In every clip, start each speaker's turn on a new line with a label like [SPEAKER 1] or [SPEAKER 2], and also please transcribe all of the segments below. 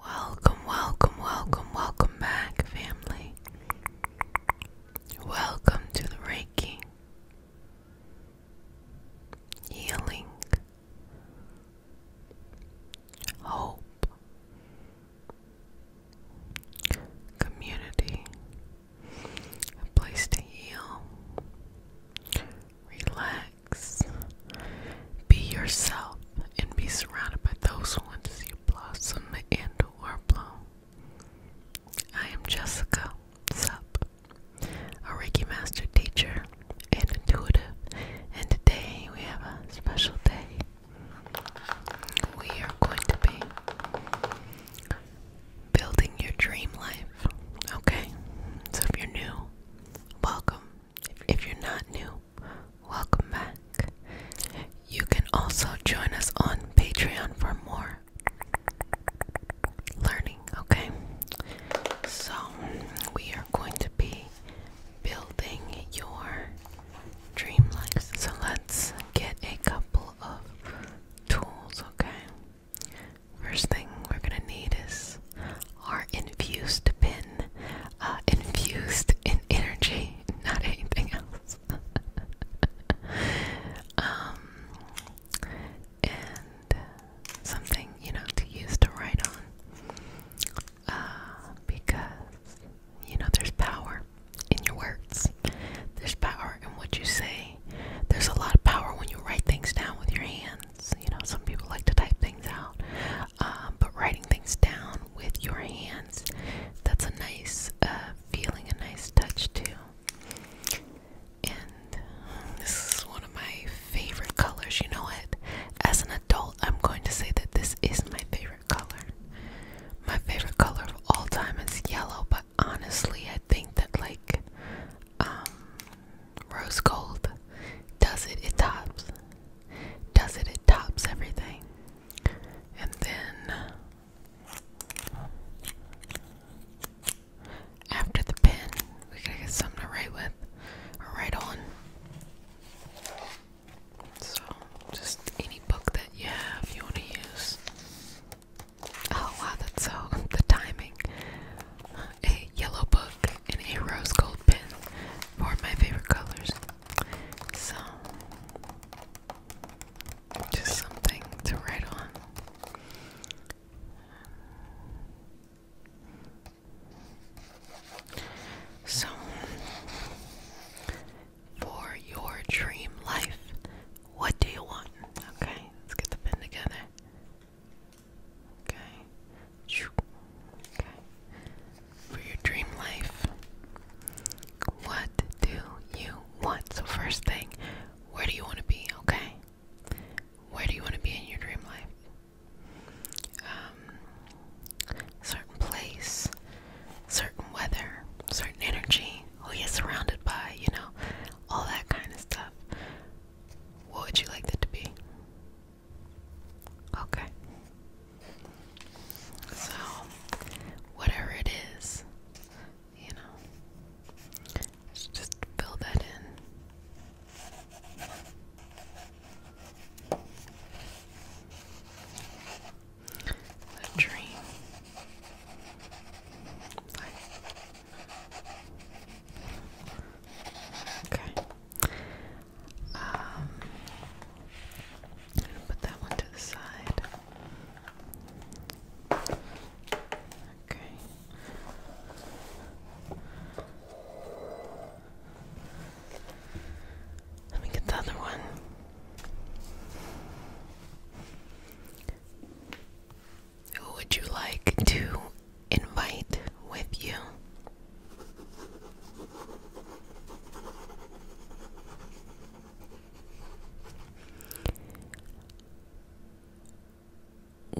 [SPEAKER 1] Welcome, welcome, welcome, welcome back, family. Welcome to the Reiki Healing Hope community, a place to heal, relax, be yourself, and be surrounded by those who want to see you blossom and or bloom. I am Jessica Sup, a Reiki Master teacher and intuitive, and today we have a special day. We are going to be building your dream life. Okay? So if you're new, welcome. If you're not new, welcome back. You can also join us on Patreon for more learning, okay? So, we are going to be building your dream life. So, let's get a couple of tools, okay? First thing we're gonna need is our infused pin, uh, infused in energy, not anything else. um, and something, you know, to use to write on. Uh, because, you know, there's power in your words. There's power in what you say. There's a lot of power when you write things down with your hands. You know, some people like to type things out, um, but writing things down with your hands, that's a nice uh, feeling, a nice touch too. And this is one of my favorite colors. You know what? As an adult, I'm going to say that this is my favorite color. My favorite color of all time is yellow, but honestly, I think that like um, rose gold does it it tops does it it tops everything and then after the pen we gotta get something to write with write on so just any book that you have you want to use Oh wow, that's so the timing. A yellow book and a rose gold pen for my favorite colors. So just something to write on. So, for your dream life, what do you want? Okay, let's get the pen together. Okay. For your dream life. What do you want? So first thing, where do you want to be? Okay. Where do you want to be in your dream life? Um, certain place, certain weather, certain energy. Oh, yeah. surrounded by, you know, all that kind of stuff. What would you like that to be? Okay. So, whatever it is, you know, just fill that in. A dream. Okay. Um put that one to the side. Okay. Let me get the other one. Who would you like to invite with you?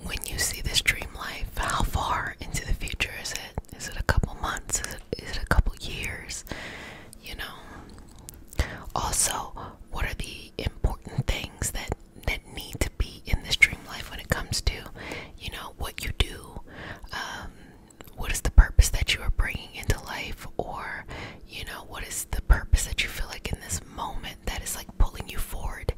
[SPEAKER 1] When you see this dream life, how far into the future is it? Is it a couple months? Is it a couple years? You know? Also, what are the important things that that need to be in this dream life when it comes to you know what you do um, what is the purpose that you are bringing into life or you know what is the purpose that you feel like in this moment that is like pulling you forward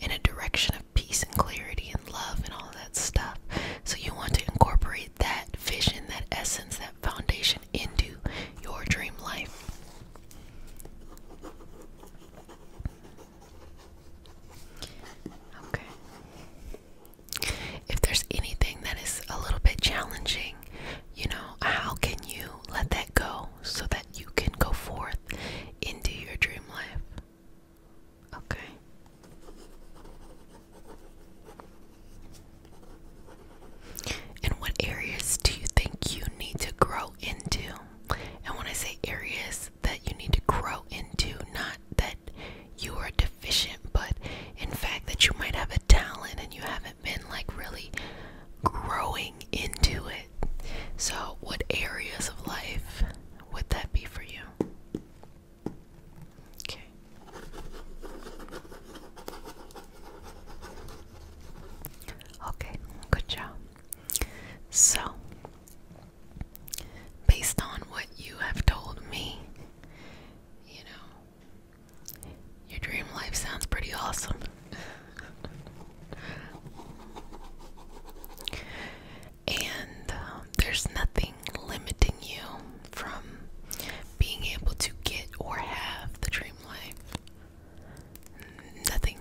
[SPEAKER 1] in a direction of peace and clarity and love and all that stuff so you want to incorporate that vision that essence that foundation into your dream life. Okay. If there's anything that is a little bit challenging, you know, how can you let that go so that you can go forth into your dream life? Okay. And what areas do you think you need to grow into? And when I say areas that you need to grow into, not that you are deficient, but in fact that you might have a talent and you haven't been like really growing into it. So, what areas of life would that be for you? Okay. Okay, good job. So, based on what you have told me, you know, your dream life sounds pretty awesome. and um, there's nothing limiting you from being able to get or have the dream life nothing.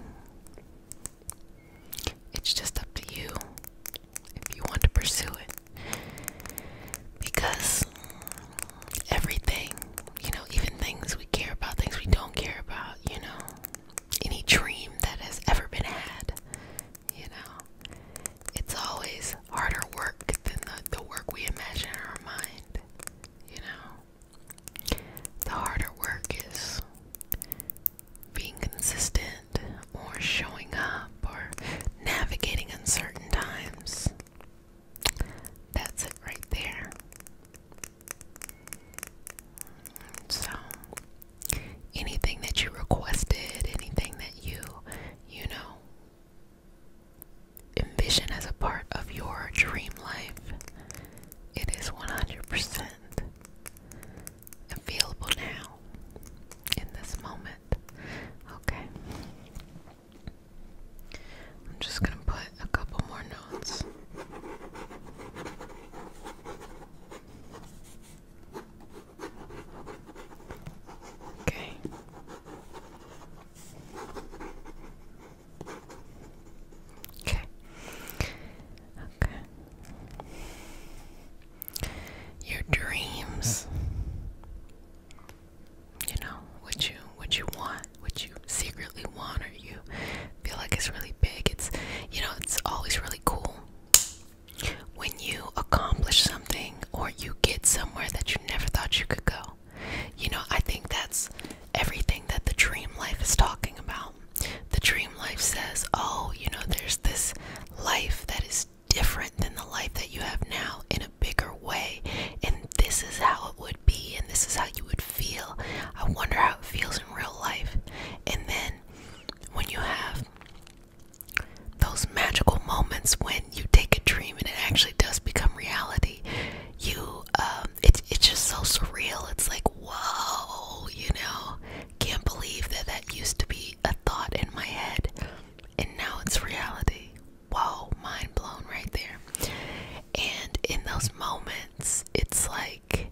[SPEAKER 1] It's just up to you if you want to pursue it. Because everything, you know, even things we care about, things we don't care about, you know, any dream that has ever been had, you know, it's always harder work than the, work we imagine in our mind, you know. The harder work is being consistent or showing up or navigating uncertain times. That's it right there. So, anything that you requested, anything that you, you know, envision as a part of your dream life, it is 100% available now in this moment. Okay. I'm just going to put a couple more notes. Okay. Okay. Okay. Your dreams. You know, what you what you want, what you secretly want or you feel like it's really big. It's you know, it's always really cool when you accomplish something or you get somewhere that you never thought you could go. You know, I think that's everything that the dream life is talking about. The dream life says, oh, you know, there's this life that is different than the life that you have now in a bigger way, and this is how it would be, and this is how you would feel. I wonder how it feels in real life. And then when you have those magical moments when you take a dream and it actually does become reality, you, um, it's it's just so surreal. It's like whoa, you know, can't believe that that used to be a thought in my head, and now it's reality. Whoa, mind blown right there. And in those moments, it's like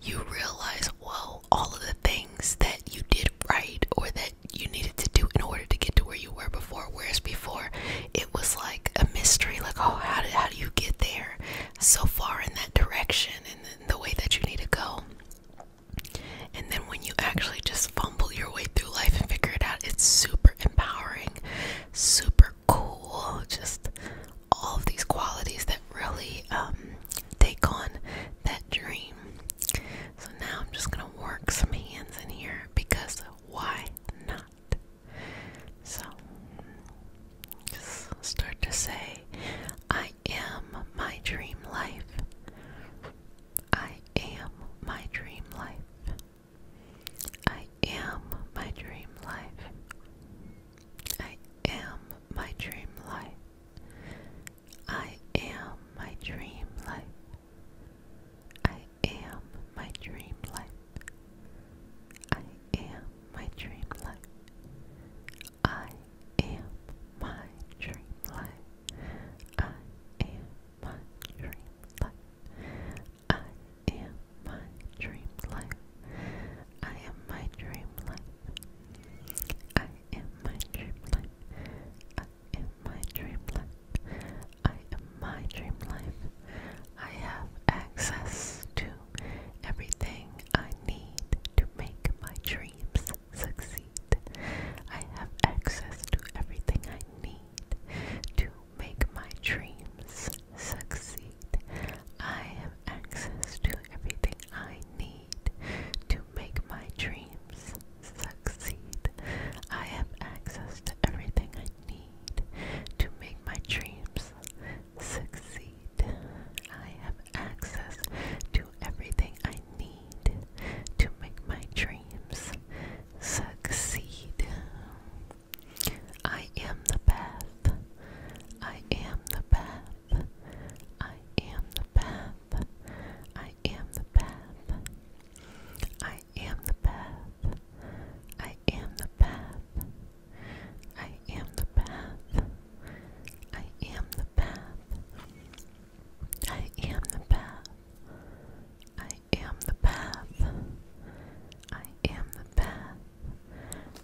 [SPEAKER 1] you realize, whoa, all of the things that you did right or that you needed to do in order to get to where you were before. Whereas before, it was like a mystery, like, oh, how did how do you get there? so far in that direction and the way that you need to go. And then when you actually just fumble your way through life and figure it out, it's super empowering, super cool. Just all of these qualities that really um, take on that dream. So now I'm just going to work some hands in here because why not? that. So, just start to say, I am my dream life. I am my dream life. I am my dream life. I am my dream life. I am my dream life. I am my dream life. I am my dream life. I am my dream life. I am my dream life. I am my dream life. I am my dream life. I am my dream life. I am my dream life. I am my dream life. I have access to everything I need to make my dreams succeed. I have access to everything I need to make my dreams succeed. I have access to everything I need to make my dreams succeed. I have access to everything I need to make my dreams succeed. I have access to everything I need to make my dreams succeed. I am the path. I am the path. I am the path. I am the path. I am the path. I am the path. I am the path. I am the path. I am the path. I am the path. I am the path.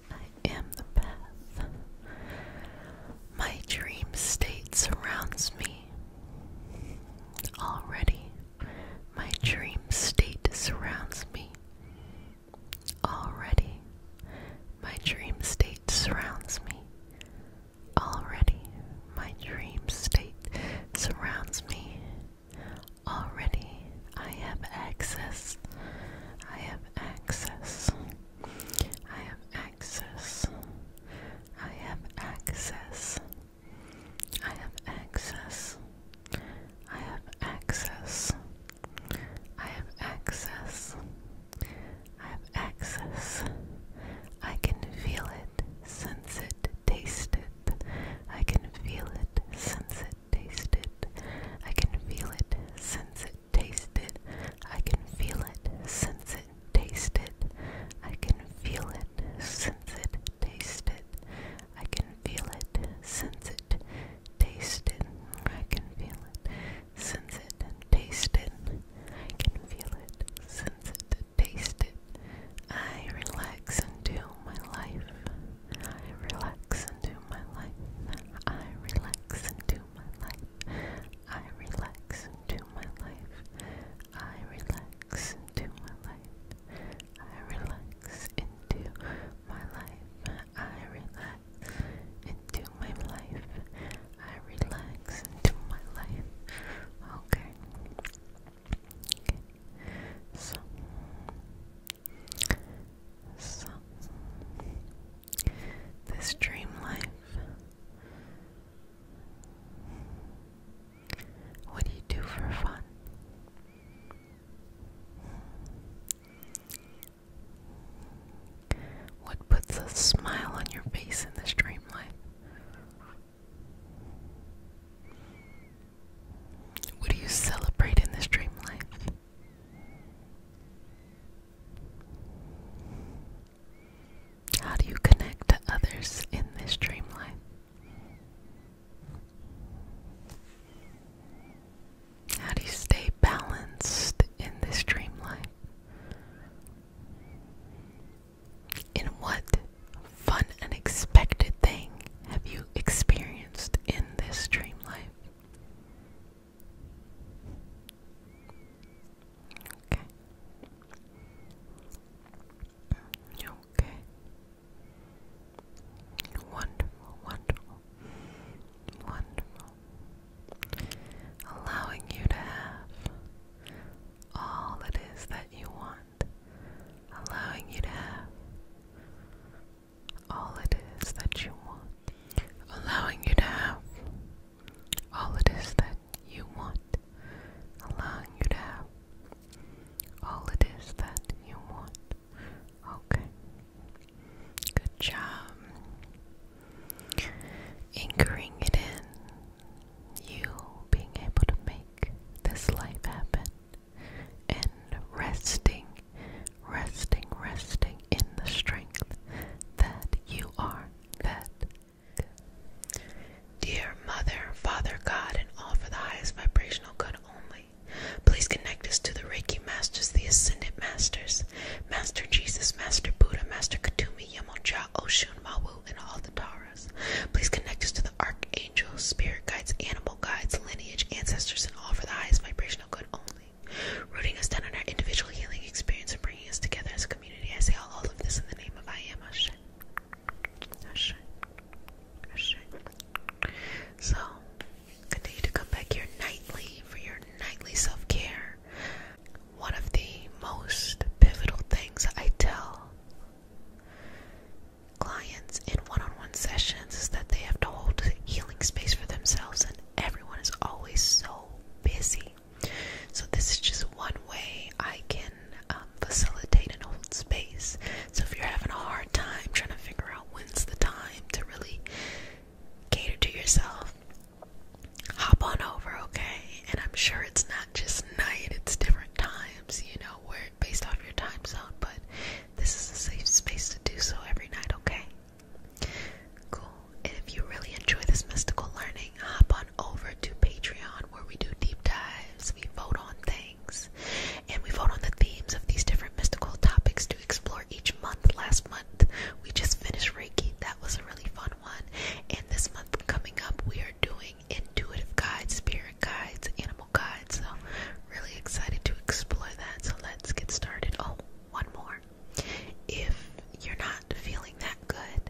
[SPEAKER 1] I am the path. My dream state surrounds me. Already, my dream state surrounds me. Already, my dream state surrounds me. Already, my dream state surrounds me. Already, I have access. I have access. I have access. I have access. I have access. I have access. I have access. I have access. I have access. I can feel it, sense it, taste it. I can feel it, sense it, taste it. I can feel it, sense it, taste it. I can feel it, sense it, taste it. I can feel it, sense it, taste it. I can feel it, sense it, taste it. I can feel it, sense it, and taste it. I can feel it, sense it, taste it. I relax into my life. I relax into my life. I relax into my life. I relax into my life. I relax into my life. I relax into my life. I relax into my life. I relax into my life. Okay. So. So. This dream life. What do you do for fun? What puts a smile on your face in this dream life? What do you celebrate in this dream life? How do you connect to others in this dream life? How do you stay balanced in this dream life? In what fun and expected thing have you experienced in this dream life? Okay. Mm, okay. Wonderful, wonderful, wonderful. Allowing you to have all it is that you want. Allowing you to have all it is that you want. Allowing you to have all it is that you want. Allowing you to have all it is that you want. Okay. Good job. Anchoring it in. You being able to make this life happen. And resting, resting, resting in the strength that you are. That. Dear Mother, Father, God, and all for the highest vibrational good only. Please connect us to the Reiki Masters, the Ascendant Masters, Master Jesus, Master Buddha, Master Katumi, Yamonja, Oshun, Mawu, and all the Taras. Please connect us to the Archangels, Spirit Guides, Animal Guides, Lineage, Ancestors, and all for the highest vibrational good only. Rooting us down on our individual healing experience and bringing us together as a community. I say all, of this in the name of I Am Ashe. Ashe. Ashe. So, Continue to come back here nightly for your nightly self care. One of the most pivotal things I tell clients in one on one sessions is that they have to hold healing space for themselves, and everyone is always so busy. So, this is just one way I can um, facilitate an old space. So, if you're having a hard time trying to figure out when's the time to really cater to yourself. Hop on over, okay? And I'm sure it's not just night, it's different times, you know, where based off your time zone, but this is a safe space to do so every night, okay? Cool. And if you really enjoy this mystical learning, hop on over to Patreon where we do deep dives, we vote on things, and we vote on the themes of these different mystical topics explore each month. Last month, we just finished Reiki. That was a really fun one. And this month coming up, we are doing intuitive guides, spirit guides, animal guides. So, really excited to explore that. So, let's get started. Oh, one more. If you're not feeling that good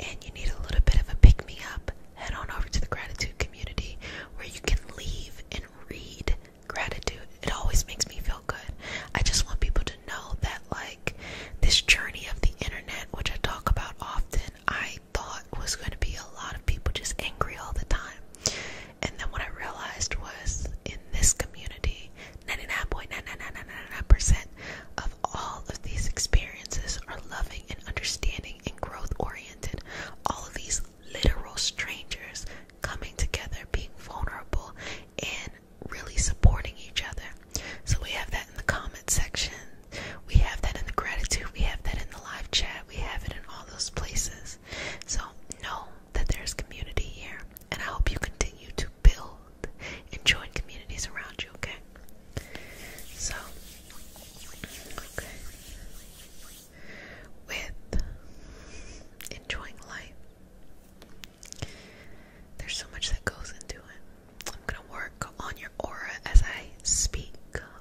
[SPEAKER 1] and you need a little bit of a pick me up, head on over to the gratitude community where you can leave and read gratitude. It always makes me feel good. I just want people to know that, like, this journey of the internet, which I talk about often, I thought was going to be a lot of people just angry all the time. And then what I realized was in this community, 99.99999% of all of these experiences are loving and understanding and growth oriented. All of these literal strangers coming together, being vulnerable, and really supporting each other. So we have that in the comment section. We have that in the gratitude. We have that in the live chat. We have it in all those places. So know that there's community here, and I hope you continue to build and join communities around you, okay? So, With enjoying life, there's so much that goes into it. I'm gonna work on your aura as I speak,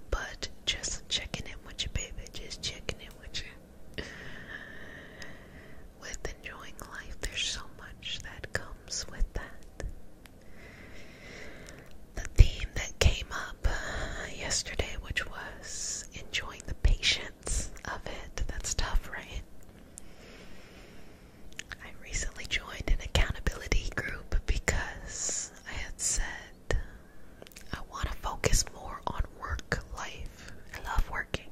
[SPEAKER 1] but just checking in with you, baby. Just checking in with you. With enjoying life, there's so much that comes with that. The theme that came up yesterday, which was enjoying the patience of it. That's tough, right? I recently joined an accountability group because I had said I want to focus more on work life. I love working,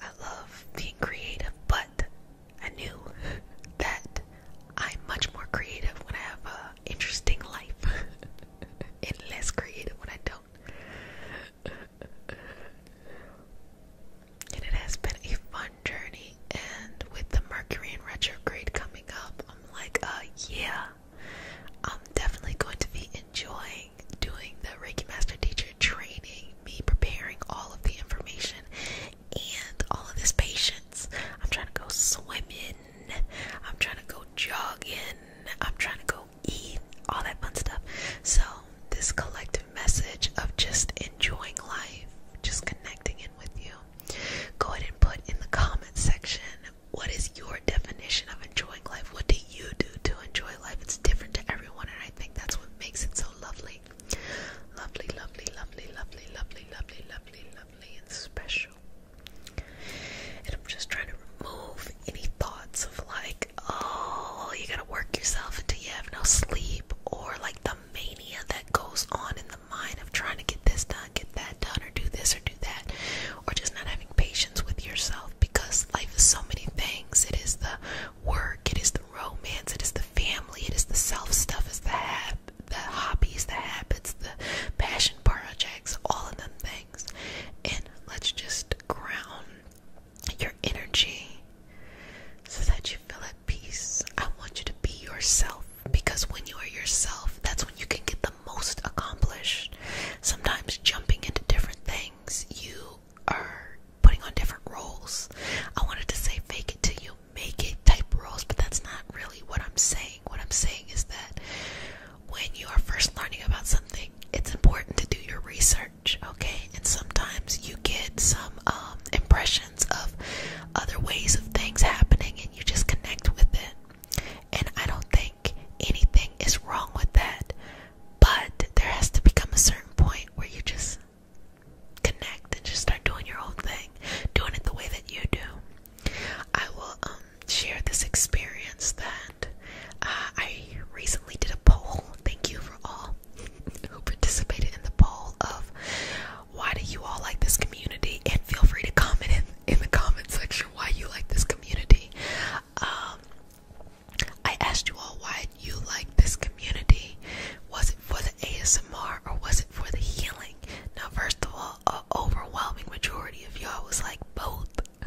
[SPEAKER 1] I love being creative, but I knew that I'm much more creative when I have an interesting life and less creative when I don't and it has been a fun journey. And with the Mercury and retrograde coming up, I'm like, uh, yeah, I'm definitely going to be enjoying doing the Reiki Master Teacher training, me preparing all of the information and all of this patience. I'm trying to go swimming, I'm trying to go jogging, I'm trying to go eat, all that fun stuff. So, this collective message of just enjoying life, just connecting in with you, go ahead and put in the comment section what is your definition of enjoying life? What do you do to enjoy life? It's different to everyone, and I think that's what makes it so lovely. Lovely, lovely, lovely, lovely, lovely, lovely, lovely, lovely, and special. And I'm just trying to remove any thoughts of like, oh, you gotta work yourself until you have no sleep, or like the mania that goes on in the mind of trying to get this done, get that done, or do this or do that, or just not having patience with yourself because life is so many things. It is the work, it is the romance, it is the family, it is the self stuff, it's the hab the hobbies, the habits, the passion projects, all of them things. And let's just ground your energy so that you feel at peace. I want you to be yourself because when you are yourself, that's when you can get the most accomplished. Sometimes jumping into different things, you are putting on different roles. I wanted to say fake it till you make it type roles, but that's not really what I'm saying. What I'm saying is that when you are first learning about something, it's important to do your research, okay? And sometimes you get some um, impressions of other ways of things happening and you just connect with it. And I don't think anything is wrong with that, but there has to become a certain point where you just connect and just start doing your own thing, doing it the way that you do. I will um, share this experience then. Uh, I recently did a poll. Thank you for all who participated in the poll of why do you all like this community, and feel free to comment in, in the comment section why you like this community. Um, I asked you all why you like this community. Was it for the ASMR or was it for the healing? Now, first of all, an overwhelming majority of y'all was like both.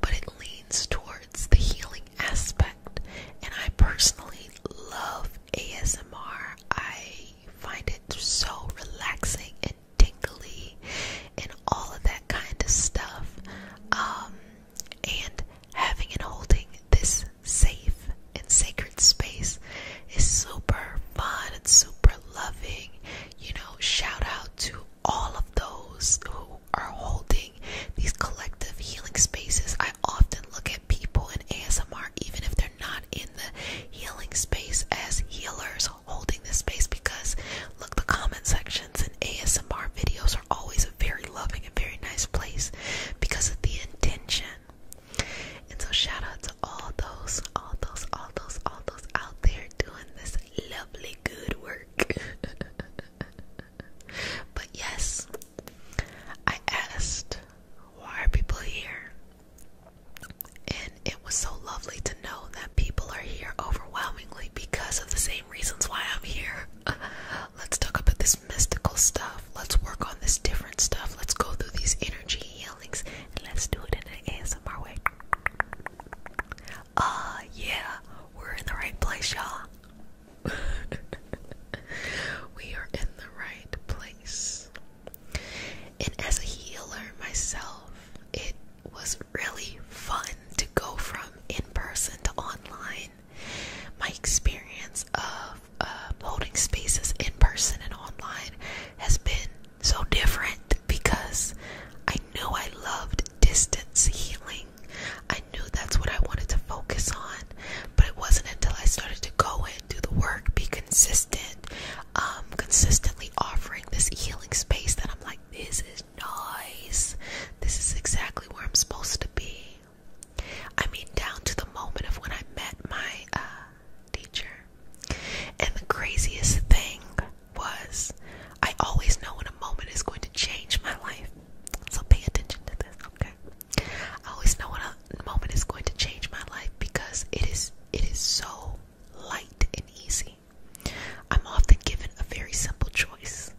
[SPEAKER 1] but it leans towards the healing aspect. And I personally love ASMR, I find it so relaxing and tingly and all of that kind of stuff. Um, and having and holding this safe and sacred space is super fun and super loving. You know, shout out to all of those who are holding these collective healing spaces. I often look at people in ASMR, even if they're not in the healing space, as healers holding this space because look, the comment sections in ASMR videos are always a very loving and very nice place because of the intention. And so, shout out to all those, all those, all those, all those out there doing this lovely good work. but yes, I asked why are people here? And it was so lovely to know that people are here overwhelmingly because of the same reasons why I'm here. Let's talk about this mystical stuff. Let's work on this different stuff. Let's go through these energy healings and let's do it in an ASMR way. Ah, yeah, we're in the right place, y'all. we are in the right place. And as a healer myself, it was really fun to go from in person to online. My experience of um, holding spaces in person and online has been so different because I knew I loved distance healing thing. I knew that's what I wanted to focus on, but it wasn't until I started to go in, do the work, be consistent, um, consistently offering this healing space that I'm like, this is nice. This is exactly where I'm supposed to be. I mean, down to the moment of when I met my uh, teacher. And the craziest thing was. I always know when a moment is going to change my life. So pay attention to this, okay? I always know when a moment is going to change my life because it is it is so light and easy. I'm often given a very simple choice.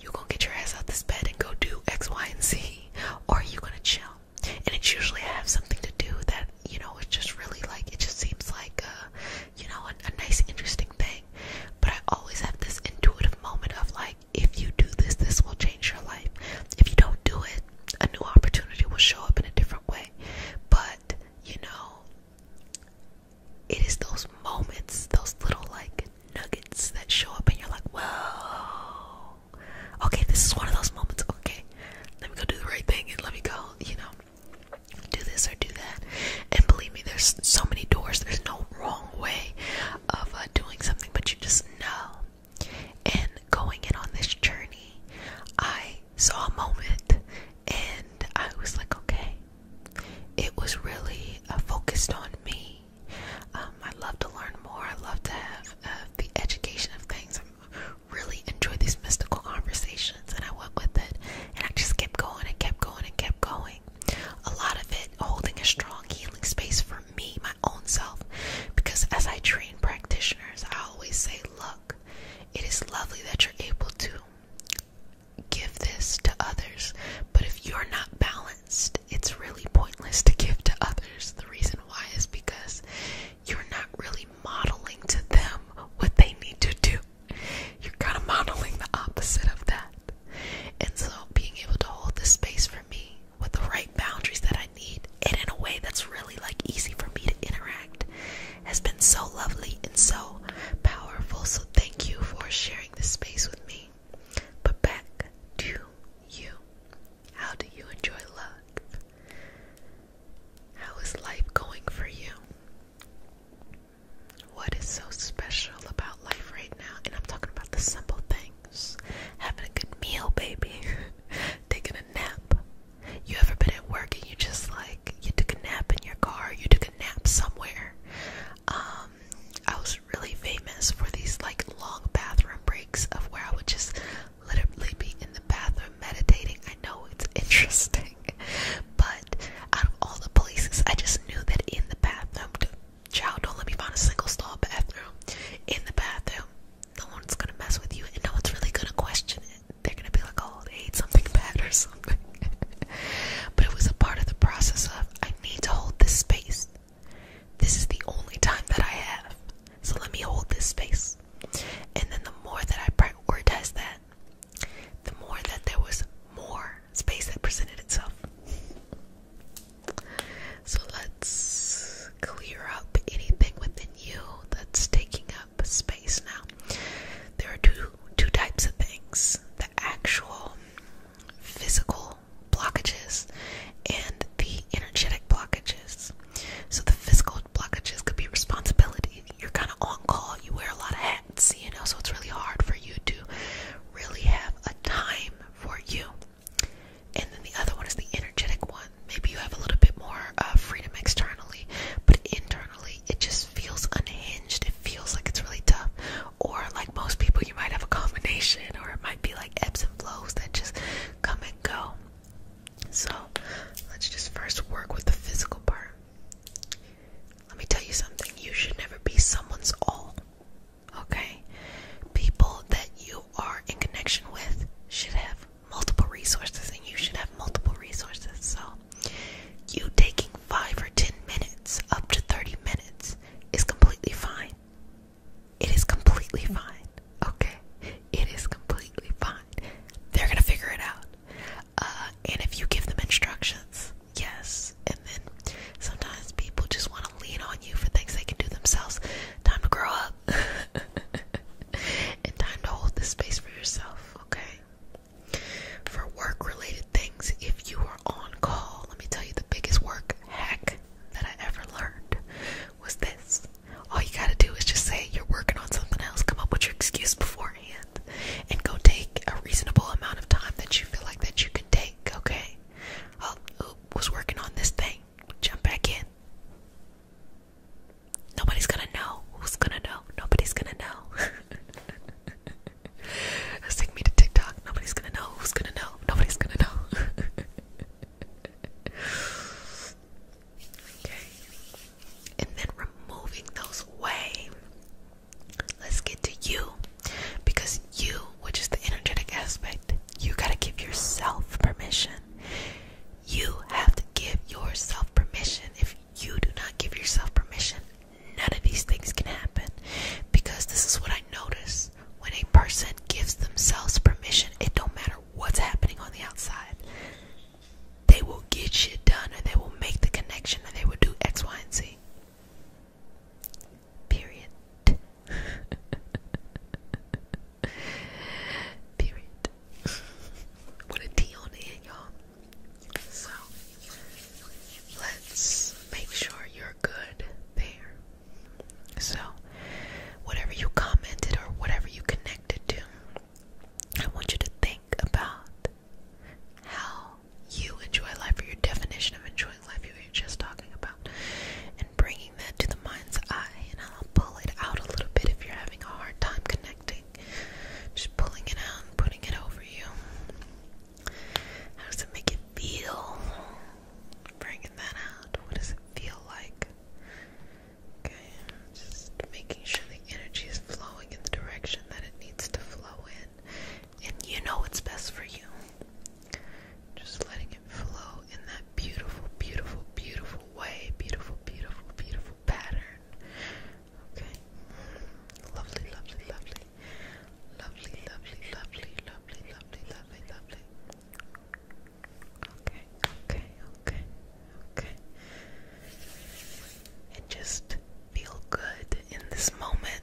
[SPEAKER 1] You gonna get your ass out this bed and go do X, Y, and Z, or are you gonna chill? And it's usually I have something to do that, you know, it's just really like it just seems like uh you know, a, a nice, interesting thing. But I always have this intuitive moment of like, if you do this, this will change your life. If you don't do it, a new opportunity will show up in a different way. But, you know, it is those moments, those little like nuggets that show up, and you're like, whoa, okay, this is one of those moments. Okay, let me go do the right thing and let me go, you know, do this or do that. And believe me, there's so many doors. There's no wrong way of uh, doing something, but you just know. And going in on this journey, I saw a moment and I was like, okay. It was really uh, focused on me. Um, I love to learn more. I love to have uh, the education of things. I really enjoy these mystical conversations directions and I went with it and I just kept going and kept going and kept going. A lot of it holding a strong healing space for me, my own self, because as I train practitioners, I always say, Look, it is lovely that you're able to give this to others, but if you're not balanced, it's really pointless to give to others. The reason why is because you're not really modeling to them what they need to do. You're kind of modeling the opposite of that. And so, being able to hold this space for me with the right boundaries that I need and in a way that's really like easy for me to interact has been so lovely and so powerful. So, thank you for sharing this space with me. But back to you. How do you enjoy life? How is life going for you? What is so special about life right now? And I'm talking about the simple things. Having a good meal, baby. Taking a nap. You ever been at work and you just like you took a nap in your car, you took a nap somewhere. Um I was really famous for these like long bathroom breaks of where I would just literally be in the bathroom meditating. I know it's interesting. But out of all the places, I just knew that in the bathroom, child, don't let me find a single stall bathroom. In the bathroom, no one's gonna mess with you, and no one's really gonna question it. They're gonna be like, oh, they ate something bad or something. but it was a part of the process of I need to hold this space. This is the only time that I have. So let me hold this space. And then the more that I prioritize that, the more that there was more space that presented itself. So let's clear up anything within you that's taking up space now. There are two two types of things. The actual physical blockages and the energetic blockages. So the physical blockages could be responsibility. You're kind of on call. You wear a lot of hats events, you know, so it's really hard for you to really have a time for you. And then the other one is the energetic one. Maybe you have a little bit more uh, freedom externally, but internally it just feels unhinged. It feels like it's really tough. Or, like most people, you might have a combination, or it might be like ebbs and flows that just come and go. So, let's just first work with the physical part. Let me tell you something. You should never be someone's all. Okay? People that you are in connection with should have multiple resources, and you should have multiple resources. So, you taking five or ten minutes, up to 30 minutes, is completely fine. It is completely fine. Okay? It is completely fine. They're going to figure it out. Uh, and if you give them instructions, Yes. And then sometimes people just want to lean on you for things they can do themselves. Time to grow up. and time to hold this space for yourself, okay? For work related things, if you are on call, let me tell you the biggest work heck that I ever learned was this. All you gotta do is just say you're working on something else, come up with your excuse before and go take a reasonable amount of time that you feel like that you can take, okay? I oh, was working on this thing. Jump back in. Nobody's gonna know. Who's gonna know? Nobody's gonna know. Take me to TikTok. Nobody's gonna know. Who's gonna know? Nobody's gonna know. okay. And then removing those away let's get to you because you which is the energetic aspect you got to give yourself permission you have to give yourself permission if you do not give yourself permission none of these things can happen because this is what i notice when a person gives themselves permission it don't matter what's happening on the outside they will get shit done and they will make the connection and they will do x y and z Period. Period. With a D on the end, y'all. So let's make sure you're good there. So whatever you commented or whatever you connected to, I want you to think about how you enjoy life or your definition of enjoying life you were just talking about and bringing that to the mind's eye and I'll pull it out a little bit if you're having a hard time connecting just pulling it out and putting it over you how does it make it feel bringing that out what does it feel like okay just making sure the energy is flowing in the direction that it needs to flow in and you know what's best for you. Just letting it flow in that beautiful, beautiful, beautiful way, beautiful, beautiful, beautiful pattern. Okay, lovely, lovely, lovely, lovely, lovely, lovely, lovely, lovely, lovely, lovely. Okay, okay, okay, okay. And just feel good in this moment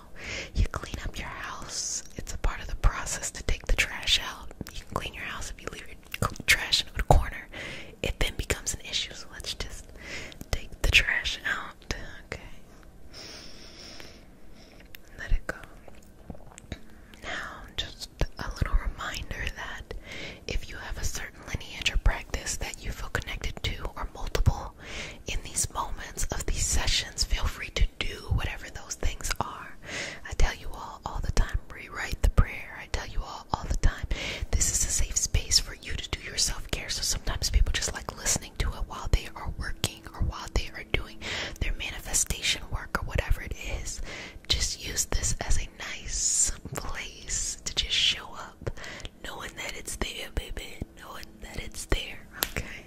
[SPEAKER 1] you clean up your house. It's a part of the process to take the trash out. You can clean your house if you leave your trash in a corner. It then becomes an issue, so let's just take the trash out. Okay. Let it go. Now, just a little reminder that if you have a certain lineage or practice that you feel connected to, or multiple, in these moments of these sessions, feel free to do whatever those things are. I tell you all all the time, rewrite the prayer. I tell you all all the time, this is a safe space for you to do your self care. So sometimes people just like listening to it while they are working or while they are doing their manifestation work or whatever it is. Just use this as a nice place to just show up, knowing that it's there, baby, knowing that it's there, okay?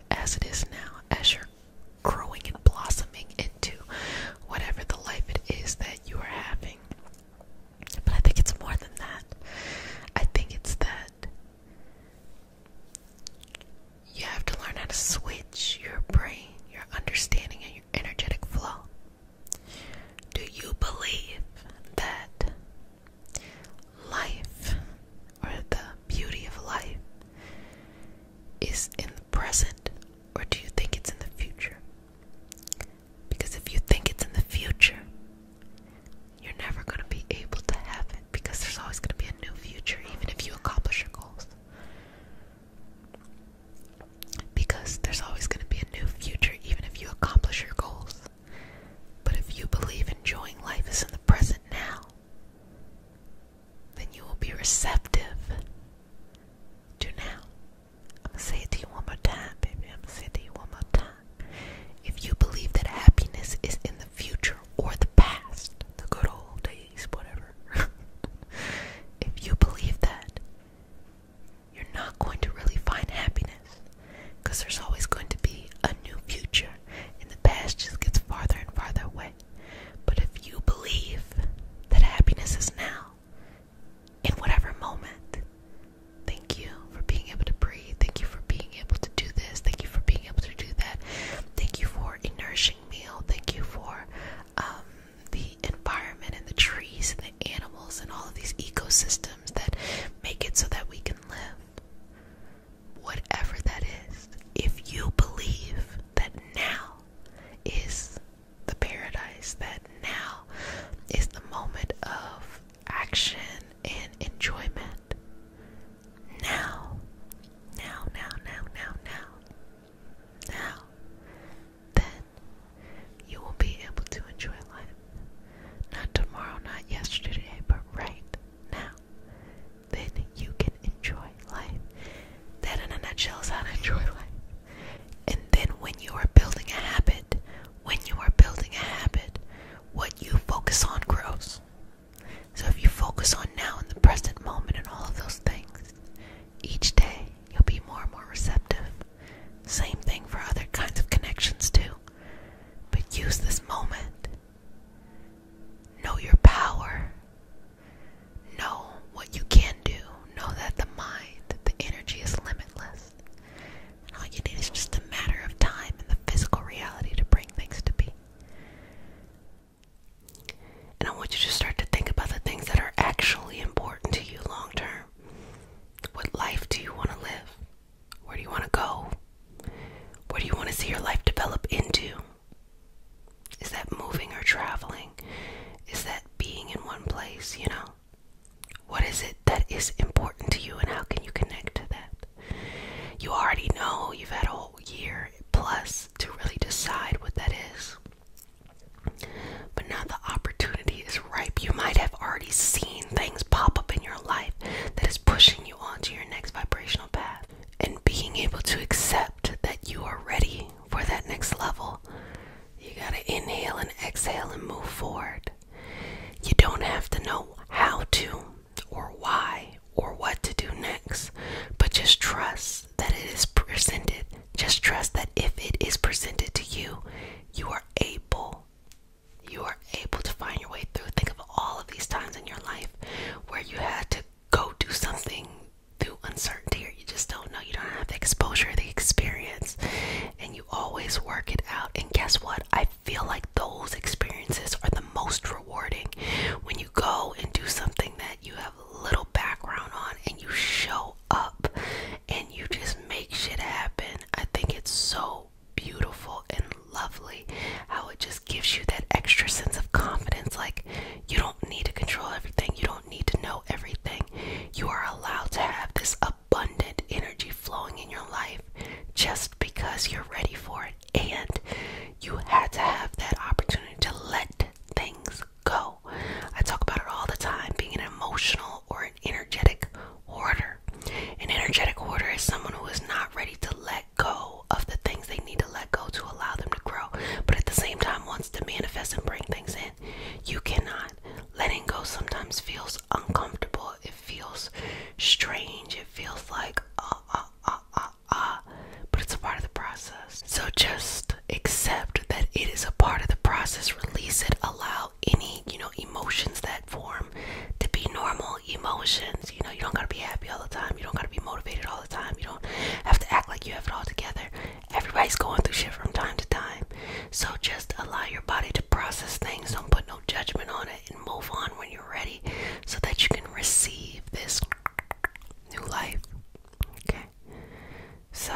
[SPEAKER 1] as it is now, as you're growing and blossoming into whatever the life it is that you are having. But I think it's more than that. I think it's that you have to learn how to switch your brain, your understanding, and your energetic flow. Do you believe that Life, or the beauty of life, is in the present, or do you think it's in the future? Because if you think it's in the future, you're never going to be able to have it because there's always going to be a new future, even if you accomplish your goals. Because there's always going to be a new future, even if you accomplish your goals. But if you believe enjoying life is in the present now, then you will be receptive Do now. I'm gonna say it to you one more time, baby. I'm gonna say it to you one more time. If you believe that happiness is in the future or the past, the good old days, whatever, if you believe that, you're not going to really find happiness because there's always going to be a new future and the past just gets farther and farther away. But if you believe that happiness is now, in whatever moment, thank you for being able to breathe. Thank you for being able to do this. Thank you for being able to do that. Thank you for a nourishing meal. Thank you for um, the environment and the trees and the animals and all of these ecosystems that make it so that we can live whatever that is, if you believe that now is the paradise, that now is the moment of action and enjoyment, now, now, now, now, now, now, now, then you will be able to enjoy life. Not tomorrow, not yesterday, but right now then you can enjoy life. That, in a nutshell, is how to enjoy life. And then, when you are building a habit, when you are building a habit, what you focus on grows. So, if you focus on now in the present moment and all of those things, each day you'll be more and more receptive. Same thing for other kinds of connections, too. But use this moment Know your power. Know what you can do. Know that the mind, the energy is limitless. all you need is just a matter of time and the physical reality to bring things to be. And I want you to start to think about the things that are actually important to you long term. What life do you want to live? Where do you want to go? Where do you want to see your life develop into? Is that moving or traveling? Is that being in one place, you know? What is it that is important to you and how can you connect to that? You already know you've had a whole year plus to really decide what that is. But now the opportunity is ripe. You might have already seen things pop up in your life that is pushing you on to your next vibrational path and being able to accept that you are ready for that next level. You got to inhale and exhale and move forward. You don't have to know how to or why or what to do next, but just trust that it is presented. Just trust that if it is presented to you, you are able. You are able to find your way through. Think of all of these times in your life where you had to go do something through uncertainty or you just don't know you don't have the exposure the experience and you always work it out and guess what i feel like those experiences are the most rewarding when you go and do something that you have little background on and you show up and you just make shit happen i think it's so beautiful and lovely how it just gives you that extra sense of confidence. Like, you don't need to control everything, you don't need to know everything. You are allowed to have this abundant energy flowing in your life just because you're ready for it. And you had to have that opportunity to let things go. I talk about it all the time being an emotional or an energetic hoarder. An energetic hoarder is someone who is not ready to let go of the things they need to let go to allow them to grow. But at the same time, wants to manifest and bring things in. You cannot. Letting go sometimes feels uncomfortable. It feels strange. It feels like, ah, uh, ah, uh, ah, uh, ah, uh, ah. Uh. But it's a part of the process. So just accept that it is a part of the process. Release it. Allow any, you know, emotions that form to be normal emotions. You know, you don't gotta be happy all the time. You don't gotta be motivated all the time. You don't have to act like you have it all together. Everybody's going through shit from time to time. So just allow your body to process things. Don't put no judgment on it and move on when you're ready so that you can receive this new life. Okay? So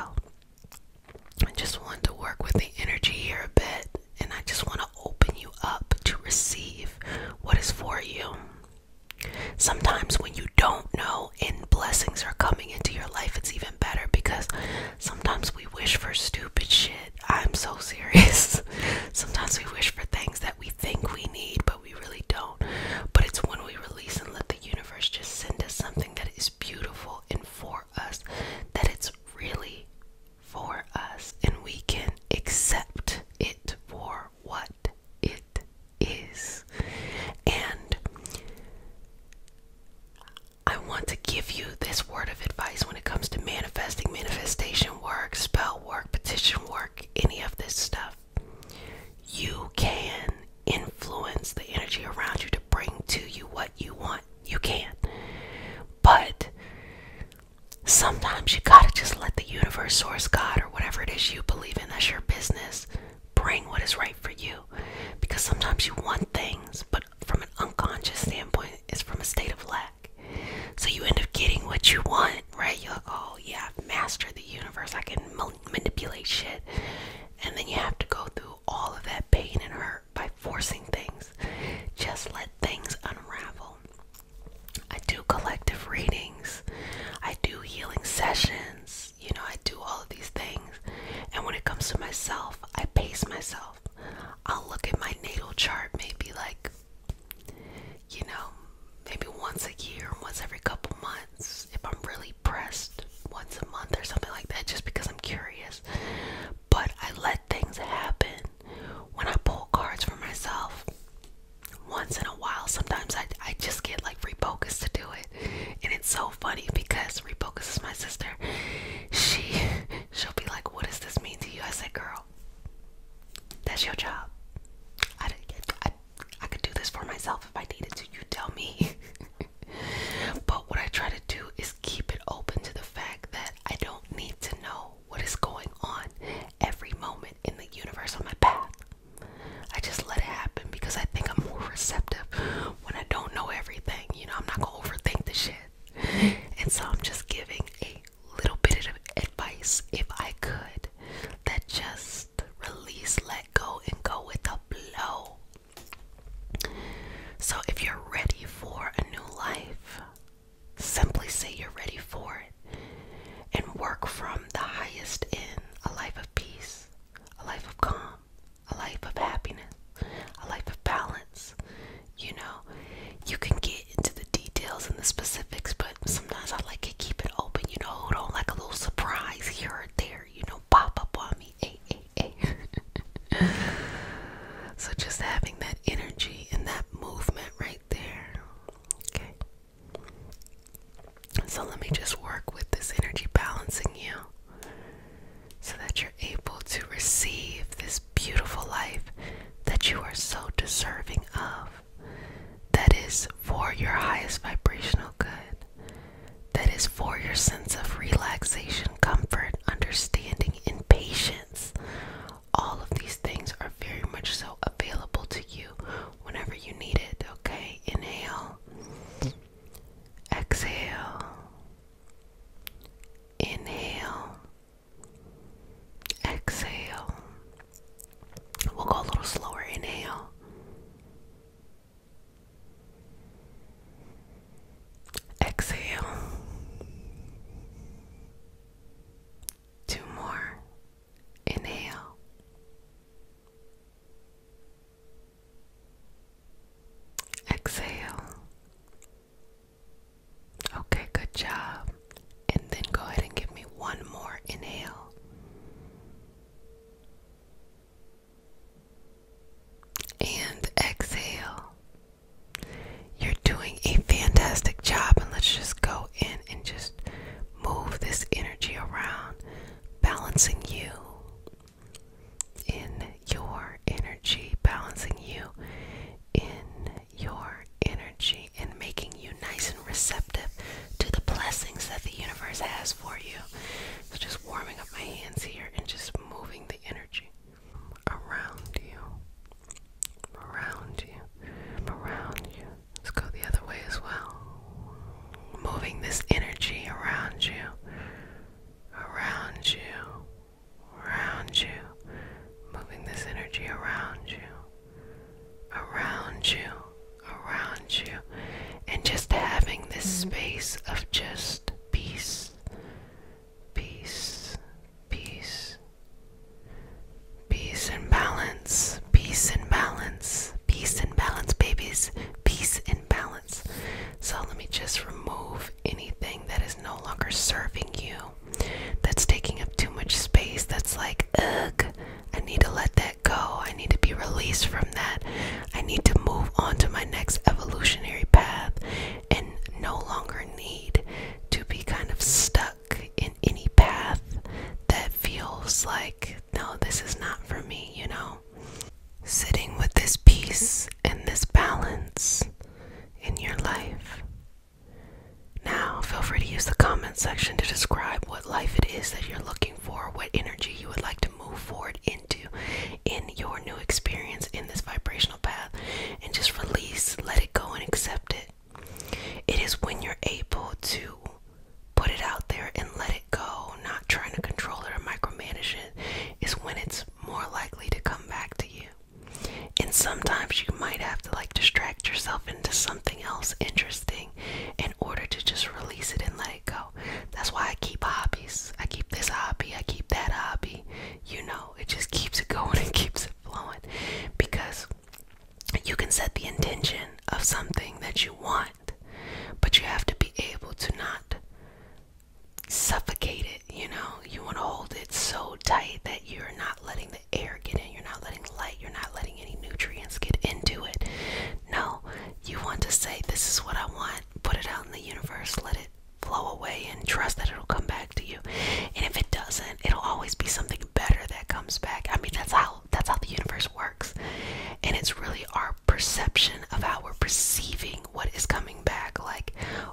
[SPEAKER 1] I just want to work with the energy here a bit and I just want to open you up to receive what is for you. Sometimes when you don't know and blessings are coming into your life, it's even better because sometimes we wish for stupid shit. I'm so serious. sometimes we wish for things that we think we need, but we really don't. But it's when we release and let the universe just send us something that is beautiful and for us, that it's really for us, and we can accept it for what it is. And I want to give you this word of advice when it comes to manifesting, manifestation work, spell work, petition work, any of this stuff. You can influence the energy around you to bring to you what you want. You can. But sometimes you gotta just let the universe, source, God, or whatever it is you believe in, that's your business, bring what is right for you. Because sometimes you want things, but from an unconscious standpoint, it's from a state of lack. So you end up getting what you want, right? You're like, oh, yeah, I've mastered the universe, I can manipulate shit. And then you have to go through all of that pain and hurt by forcing things. Just let things unravel. I do collective readings. I do healing sessions. You know, I do all of these things. And when it comes to myself, I pace myself. I'll look at my natal chart maybe like, you know, maybe once a year, once every couple months, if I'm really pressed, once a month or something like that, just because I'm curious. But I let things happen when I pull cards for myself once in a while sometimes I, I just get like refocus to do it and it's so funny because refocus is my sister she she'll be like what does this mean to you i said girl that's your job i, I could do this for myself if i needed to you tell me but what i try to do is keep it open to the fact that i don't need to know what is going on every moment in the universe on my path I just let it happen because I think I'm more receptive when I don't know everything. You know, I'm not gonna overthink the shit. And so I'm just giving a little bit of advice if I could that just release, let go, and go with the flow. So if you're ready for a new life, simply say you're ready for it and work from the highest in a life of peace, a life of calm, a life of happiness, a life of balance. You know, you can get into the details and the specifics, but sometimes I like to keep it open, you know, don't like a little surprise here or there, you know, pop up on me. so just having that energy and that movement right there. Okay. So let me just work with this energy balancing you so that you're able to receive this beautiful life that you are so deserving of. That is for your highest vibrational good. That is for your sense of relaxation, comfort, understanding, and patience. All of these things are very much so available to you whenever you need it, okay? Inhale, exhale, inhale, exhale. We'll go a little slower. Inhale, exhale. Two more. Inhale. Exhale. Okay, good job. And then go ahead and give me one more inhale. And exhale. You're doing a fantastic job, and let's just go and just move this energy around, balancing you in your energy, balancing you in your energy, and making you nice and receptive to the blessings that the universe has for you. So, just warming up my hands here and just moving the energy around you, around you, around you. Let's go the other way as well. Moving this energy around you, around you, around you. Moving this energy around you, around you, around you. And just having this space of just peace, peace, peace, Peace and balance, peace and balance, peace and balance, babies, peace and balance. So let me just remove anything that is no longer serving you, that's taking up too much space, that's like, ugh, I need to let that go. I need to be released from that. I need to move on to my next evolutionary path and no longer need to be kind of stuck in any path that feels like, no, this is not for me, you know? Sitting with this peace and this balance in your life. Now, feel free to use the comment section to describe what life it is that you're looking for, what energy you would like to move forward into in your new experience in this vibrational path, and just release, let it go, and accept it. It is when you're able to put it out there and let it go, not trying to control it or micromanage it, is when it's more likely to come back to you. And sometimes you might have to like distract yourself into something else interesting in order to just release it and let it go. That's why I keep hobbies. I keep this hobby, I keep that hobby. You know, it just keeps it going and keeps it flowing because you can set the intention of something that you want, but you have to be able to not suffocate it. You know, you want to hold it so tight that you're not letting the air get in, you're not letting light, you're not letting any nutrients get into it. No, you want to say, This is what I want, put it out in the universe, let it flow away, and trust that it'll come back to you. And if it doesn't, it'll always be something better that comes back. I mean, that's how that's how the universe works. And it's really our perception of how we're perceiving what is coming back. Like,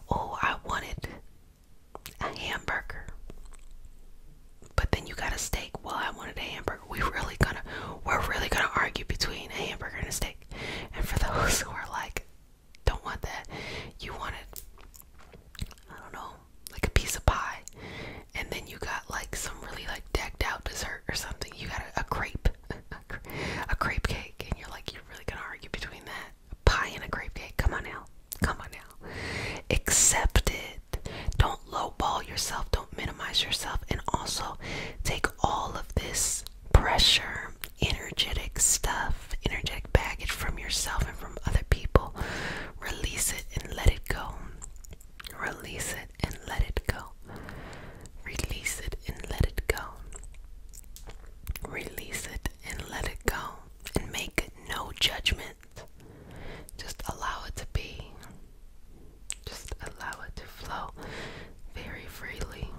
[SPEAKER 1] oh, I wanted a hamburger. But then you got a steak. Well, I wanted a hamburger. We really gonna we're really gonna argue between a hamburger and a steak. And for those who are like, don't want that, you wanted I don't know, like a piece of pie and then you got like some really like decked out dessert or something. You got a, a crepe, a crepe cake, and you're like, you're really gonna argue between that pie and a crepe cake? Come on now, come on now. Accept it. Don't lowball yourself. Don't minimize yourself. And also, take all of this pressure, energetic stuff, energetic baggage from yourself and from other people. Release it and let it go. Release it and let it go. Release it and let it go. Release it and let it go. And make no judgment. Just allow it to be. Just allow it to flow very freely.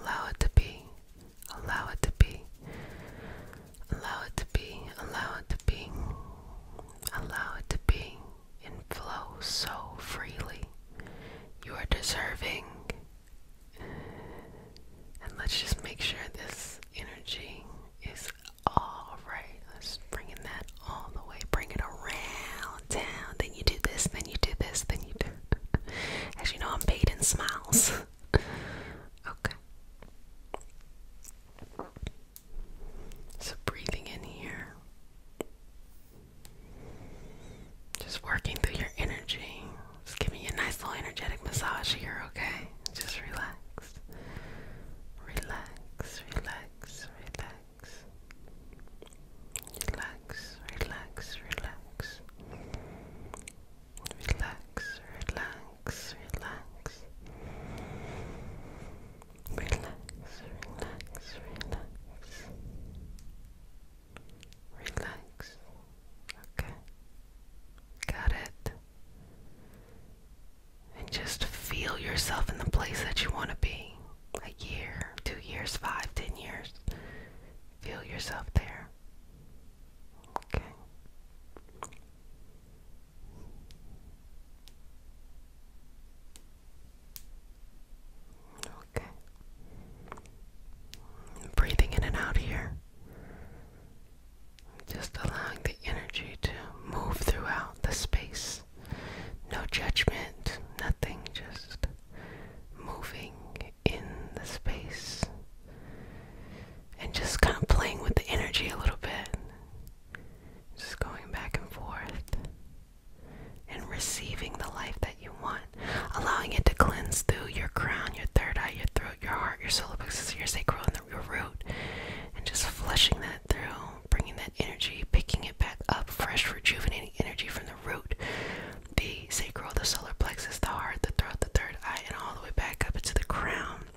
[SPEAKER 1] Allow it to be. Allow it to be. Allow it to be. Allow it to to Allow it to be and flow so freely. You are deserving. And let's just make sure this energy is alright. Let's bring in that all the way. Bring it around town. Then you do this, then you do this, then you do. As you know, I'm paid in smiles. okay. So breathing in here. Just working through your energy. Just giving you a nice little energetic massage here, okay? Just relax. Relax, relax, relax. Relax, relax, relax. Relax, relax, relax relax, relax, relax. Relax. Okay. Got it. And just feel yourself in the place that you want to be. A year, two years, five, ten years. Feel yourself there. Okay. Okay. Breathing in and out here. Just allowing the energy to move throughout the space. No judgment, nothing, just moving in the space. And just kind of playing with the energy a little bit. Just going back and forth and receiving the life that you want, allowing it to cleanse through your crown, your third eye, your throat, your heart, your solar plexus, your sacral, and your root, and just flushing that through, bringing that energy, picking it back up, fresh, rejuvenating energy from the root, the sacral, the solar plexus, the heart, the throat, the third eye, and all the way back up into the crown.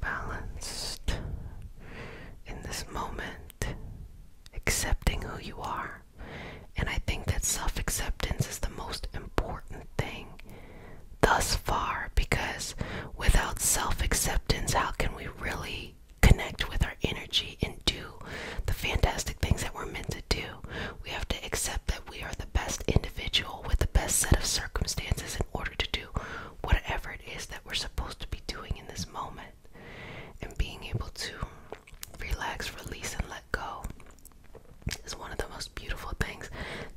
[SPEAKER 1] balanced in this moment, accepting who you are. And I think that self acceptance is the most important thing thus far because without self acceptance, how can we really connect with our energy and do the fantastic things that we're meant to do? We have to accept that we are the best individual with the best set of circumstances in order to do whatever is that we're supposed to be doing in this moment and being able to relax, release, and let go is one of the most beautiful things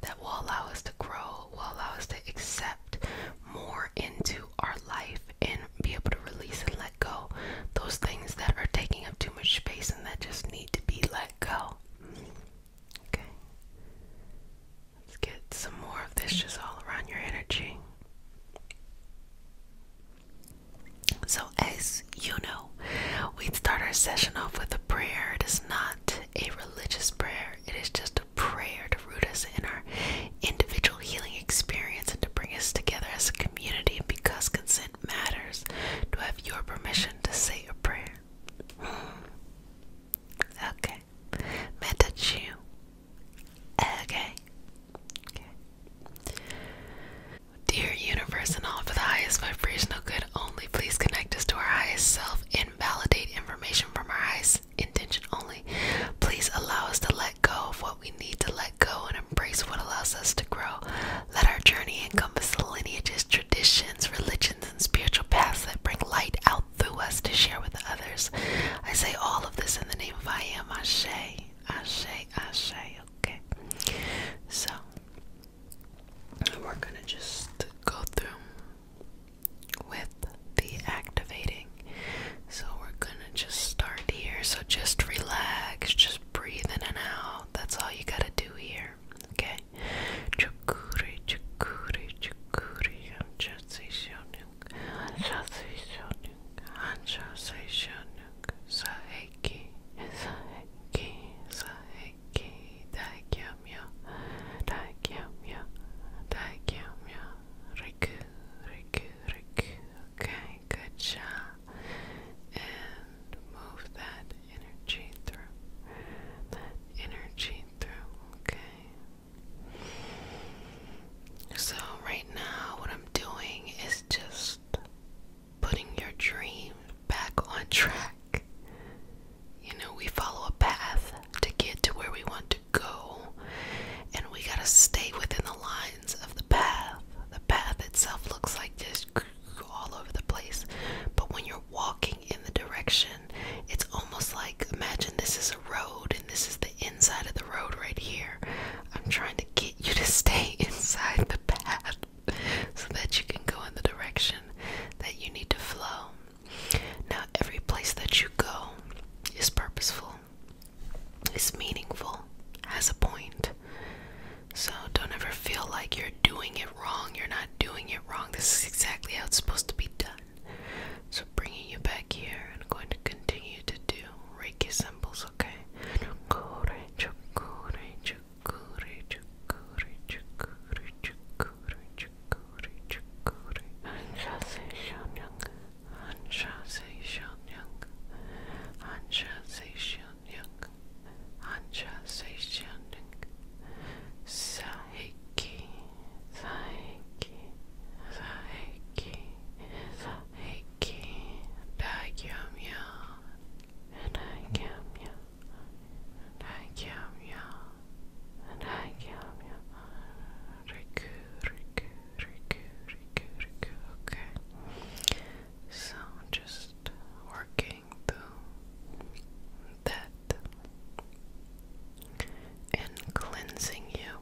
[SPEAKER 1] that will allow us to grow, will allow us to accept more into our life and be able to release and let go those things that are taking up too much space and that just need to be let go. Okay. Let's get some more of this just all around your energy. So, as you know, we start our session off with a prayer. It is not a religious prayer, it is just a prayer to root us in our individual healing experience and to bring us together as a community. And because consent matters, to have your permission to say your prayer. Hmm. Okay. May I touch you? Okay. Okay. Dear universe and all for the highest vibrational good only, please connect us to our highest self and validate information from our eyes. intention only. Please allow us to let go of what we need to let go and embrace what allows us to grow. Let our journey encompass the lineages, traditions, religions, and spiritual paths that bring light out out through us to share with others. I say all of this in the name of I am Ashe. Ashe, Ashe, okay. So, we're gonna just go through with the activating. So, we're gonna just start here. So, just relax, just breathe in and out. That's all you gotta do here, okay? Chukuri, chukuri, chukuri. Shoshonuk, Shosei Shonuk, Hanshosei Shonuk, Saheki, Saheki, Saheki, Daikyamya, Daikyamya, Daikyamya, Riku, Riku, Riku. Okay, good job. And move that energy through. That energy through, okay? So, right now, what I'm doing is just putting your dream back on track. You know, we follow a path to get to where we want to go, and we gotta stay within the lines of the path. The path itself looks like just all over the place, but when you're walking in the direction, it's almost like imagine this is a road and this is inside of the road right here. I'm trying to get you to stay inside the path so that you can go in the direction that you need to flow. Now, every place that you go is purposeful, is meaningful, has a point. So don't ever feel like you're doing it wrong. You're not doing it wrong. This is exactly how it's supposed to be done. So, bringing you back here, I'm going to continue to do Reiki symbols, okay? Saiki, Saiki, Saiki, and I am you, and I am you, and I am you. Riku, Riku, Riku, Riku, Okay. So just working through that and cleansing you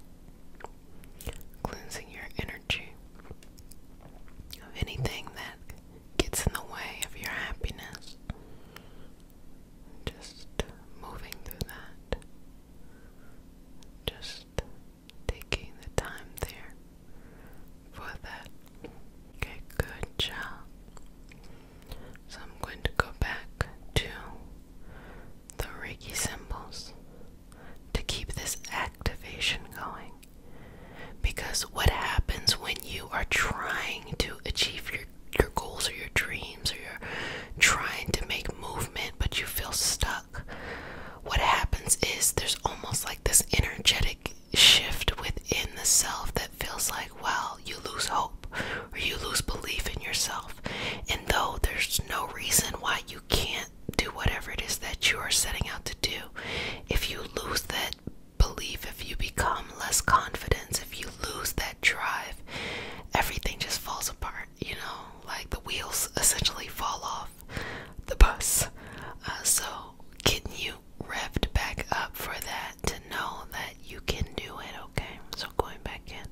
[SPEAKER 1] cleansing your energy of anything that gets in the way of your happiness. Just moving through that. Just taking the time there for that. Okay, good job. So I'm going to go back to the Reiki symbols to keep this activation going. Because what happens when you are trying to achieve your, your goals or your dreams or you're trying to make movement but you feel stuck? What happens is there's almost like this energetic shift within the self that feels like, well, you lose hope or you lose belief in yourself. And though there's no reason why you can't do whatever it is that you are setting out to do. If you lose that belief, if you become less confident, if you lose that drive, everything just falls apart, you know, like the wheels essentially fall off the bus. Uh, so, getting you revved back up for that to know that you can do it, okay? So, going back in.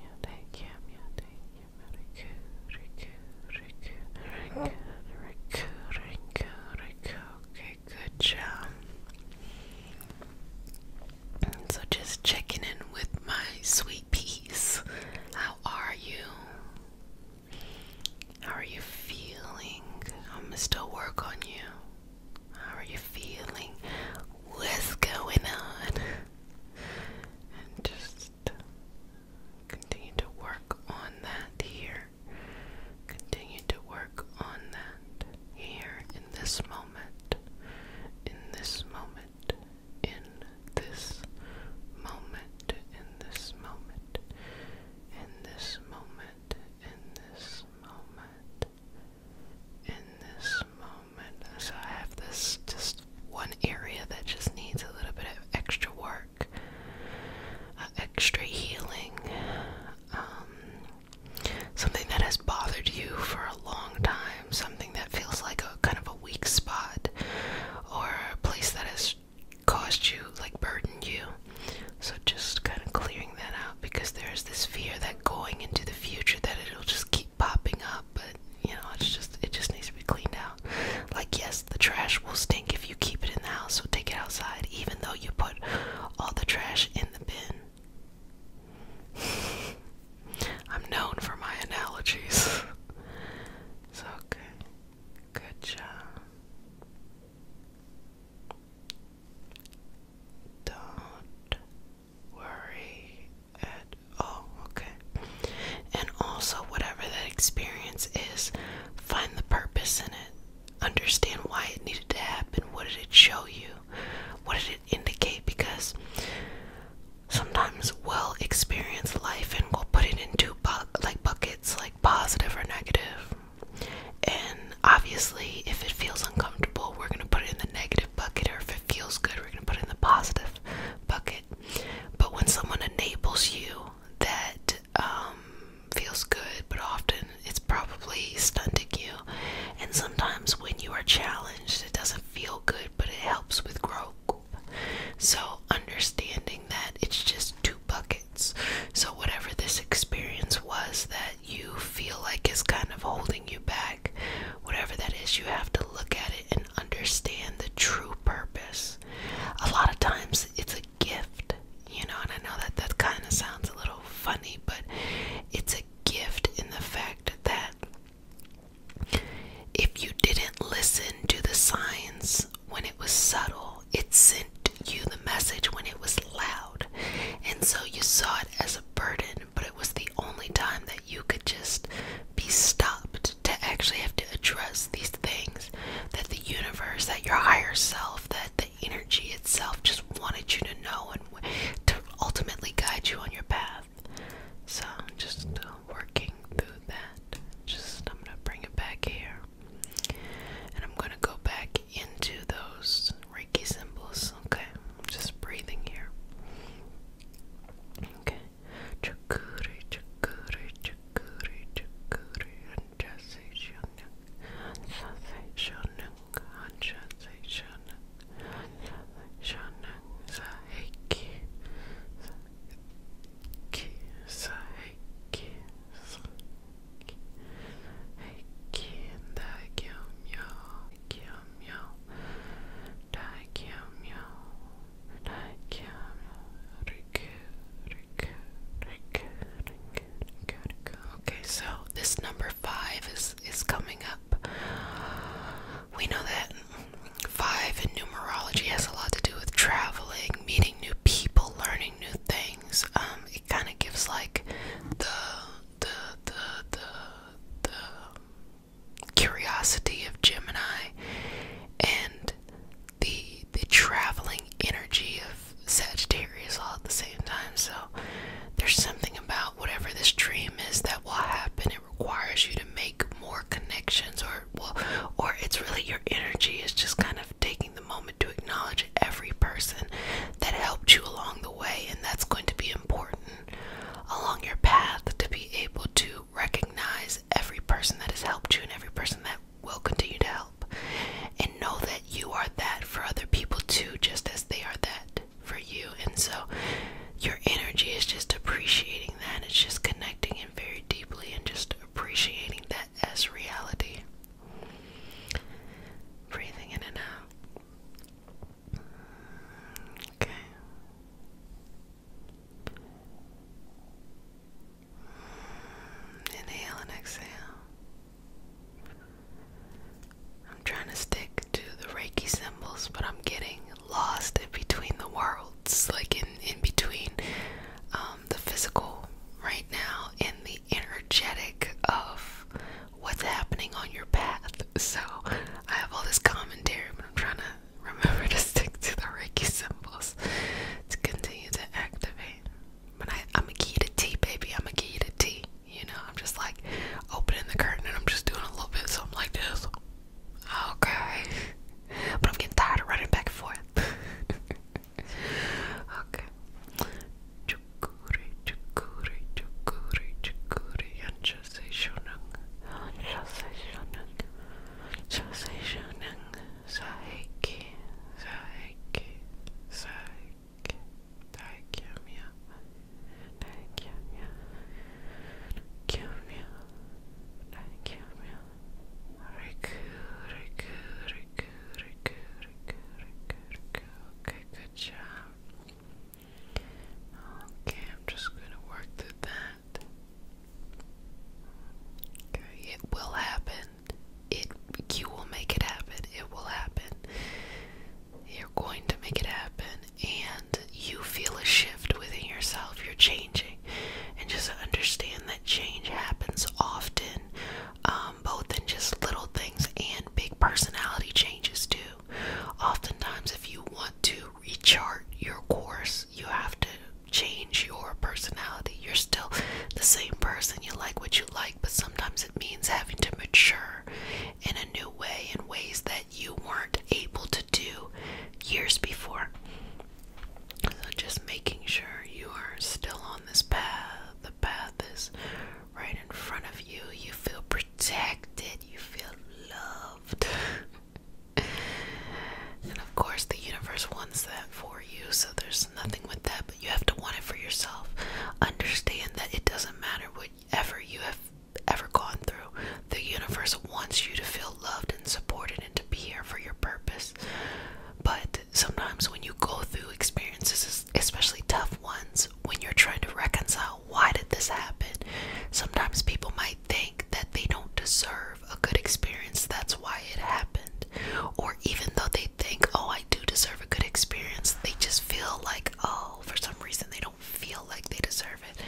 [SPEAKER 1] yeah, thank you, yeah, thank you. Riku, Riku, Riku, Riku, Riku, Riku, Riku. Okay, good job. So just checking in with my sweet peas. How are you? How are you feeling? I'm gonna still work on you. How are you feeling? What's going on? And just continue to work on that here. Continue to work on that here in this moment. In this moment. In this moment. In this moment. In this moment in this moment. So I have this just one area that just needs a little bit of extra work, uh, extra healing. Um, something that has bothered you for a long time, something that feels like a kind of a weak spot or a place that has caused you, like burdened you. So just kind of clearing that out because there's this fear that going into the future that it'll just keep popping up, but you know, it's just it just needs to be cleaned out. Like yes, the trash will stink if you keep it in the house, so take it outside, even though you put all the trash in the bin. I'm known for my analogies. so okay. Good job. Don't worry at all, okay? And also, whatever that experience is, find the purpose in it. Understand why it needed to happen. What did it show you? What did it indicate? Because sometimes we'll experience life and we'll put it into like buckets, like positive or negative. And obviously, if it feels uncomfortable, we're gonna put it in the negative bucket, or if it feels good, we're going to put in the positive bucket. But when someone enables you that um, feels good, but often it's probably stunting you. And sometimes when you are challenged, it doesn't feel good, but it helps with growth. So, understanding that it's just two buckets. So, whatever this experience was that you feel like is kind of holding you back, whatever that is, you have to look at it and understand the true purpose. A lot of times it's a gift, you know, and I know that that kind of sounds a little funny, but it's a gift in the fact that if you didn't listen to the signs when it was subtle, it sent you the message when it was loud. And so you saw it as a burden but it was the only time that you could just be stopped to actually have to address these things that the universe, that your higher self, that the energy itself just wanted you to know and to ultimately guide you on your path. So I'm just uh, working through that. Just I'm gonna bring it back here, and I'm gonna go back into those Reiki symbols. Okay, I'm just breathing here. Okay. Chakuri, chakuri, chakuri, chakuri, and Jesse Shunung, and Sassy Shunung, and Jesse Shunung, and Sassy Shunung, Sahiki, Sahiki, Sahiki, Sahiki, Sahiki, and the Gyum Yo, meow. Daikia meow. meow. Riku, riku, riku, Okay, so this number five is is coming up. We know that five in numerology has a lot to do with traveling, meeting new people, learning new things. Um, it kind of gives like the the the the the curiosity of Gemini and the the traveling energy of Sagittarius all at the same time. So there's something about whatever this dream is that will happen. It requires you to make more connections or well or it's really your energy is just kind of taking the moment to acknowledge every person that helped you along the way and that's going to be important along your path to be able to recognize every person that has helped you and every person that will continue to help. And know that you are that for other people too, just as they are that for you. And so your energy is just appreciating that. It's just connecting in very deeply and just appreciating that as reality. Breathing in and out. Okay. Inhale and exhale. I'm trying to stick to the Reiki symbols, but I'm getting lost in between the worlds, like in, in between um, the physical right now and the energetic of what's happening on your path. So I have all this commentary, I'm trying to remember to stick to the Reiki symbols to continue to activate. But I, am a key to tea, baby. I'm a key to tea. You know, I'm just like opening the curtain and I'm just doing a little bit of something like this. Okay. But I'm getting tired of running back and forth. okay. Jose Shonung, Jose Shonung, Jose Shonung, Saiki, Saiki, Saiki, Taikyamia, Taikyamia, Taikyamia, Taikyamia, Riku, Riku, Riku, Riku, Riku, Riku, Riku, okay, good job. Okay, I'm just gonna work through that. Okay, it will happen. It you will make it happen. It will happen. You're going to make it happen, and you feel a shift within yourself. You're changing, and just understand that change happens often, um, both in just little things and big personality changes too. Oftentimes, if you want to rechart your course. You have to change your personality. You're still the same person. You like what you like, but sometimes it means having to mature in a new way, in ways that you weren't able to do years before. So just making sure you are still on this path. The path is right in front of you. You feel protected. You feel loved. and of course, the universe wants that for you, so there's nothing with that, but you have to want it for yourself. Understand that it doesn't matter whatever you have ever gone through, the universe wants you to feel loved and supported and to be here for your purpose. But sometimes, when you go through experiences, especially tough ones, when you're trying to reconcile why did this happen? Sometimes people might think that they don't deserve a good experience, that's why it happened. Or even though they think, oh, I do deserve a good experience, they just feel like, oh, for some reason they don't feel like they deserve it.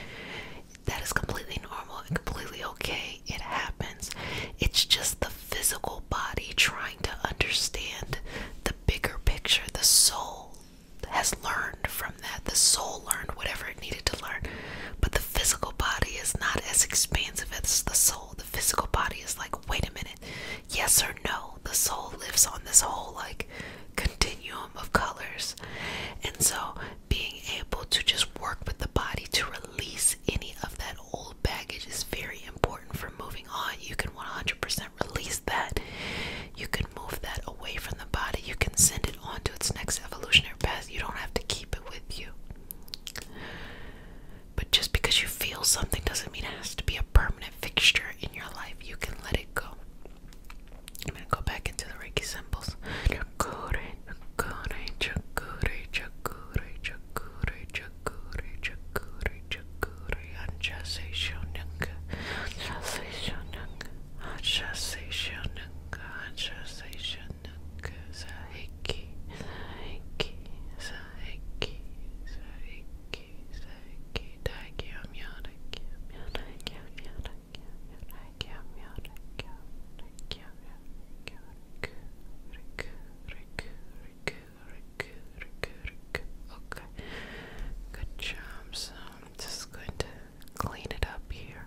[SPEAKER 1] That is completely normal and completely okay. It happens. It's just the physical body trying to understand the bigger picture, the soul, has learned from that. The soul learned whatever it needed to learn. But the physical body is not as expansive as the soul. The physical body is like, wait a minute, yes or no. The soul lives on this whole like continuum of colors. And so being able to just work with the body to release any of that old baggage is very important for moving on. You can 100% release that. You can move that away from the body, you can send it on to its next evolutionary path. You don't have to keep it with you. But just because you feel something doesn't mean it has to be a permanent fixture in your life. You can let it go. I'm going to go back into the Reiki symbols conversation Sahiki Sahiki Sahiki Sahiki Sahiki Taiki Amyotiki Amyotiki Amyotiki Amyotiki Amyotiki Amyotiki Amyotiki Riku Riku Riku Riku Riku Riku Okay Good job so I'm just going to clean it up here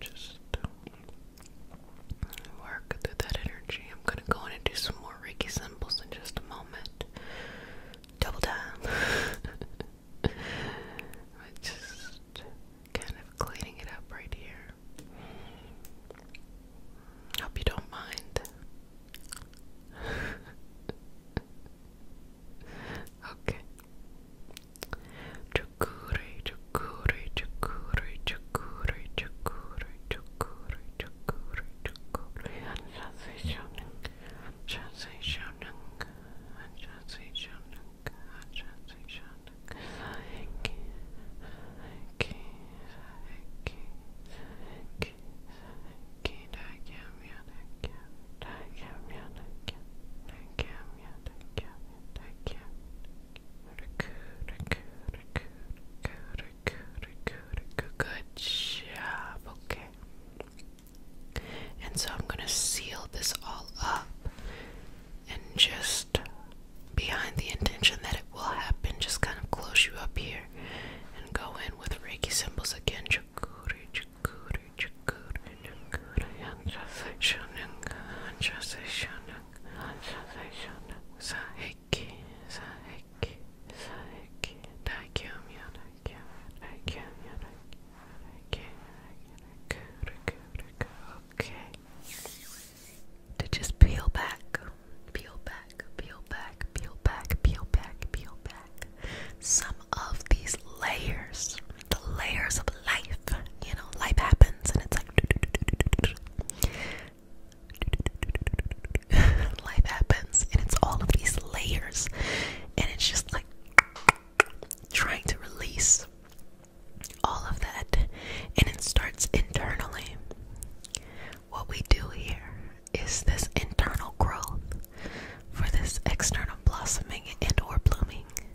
[SPEAKER 1] just work through that energy. I'm gonna go in and do some more Reiki symbols in just a moment. Double time. just kind of cleaning it up right here. Hope you don't mind. okay. Chukuri, chukuri, chukuri, chukuri, chukuri, chukuri, chukuri, chukuri, and transitioning, transitioning, Good job. Okay. And so I'm going to seal this all up and just behind the intention that it will happen, just kind of close you up here and go in with Reiki symbols again. Chukuri, chukuri, chukuri. Okay. To just peel back, peel back, peel back, peel back, peel back, peel back. Some of these layers the layers of life. You know, life happens and it's like life happens and it's all of these layers and it's just like trying to release all of that and it starts internally. What we do here is this internal growth for this external blossoming and or blooming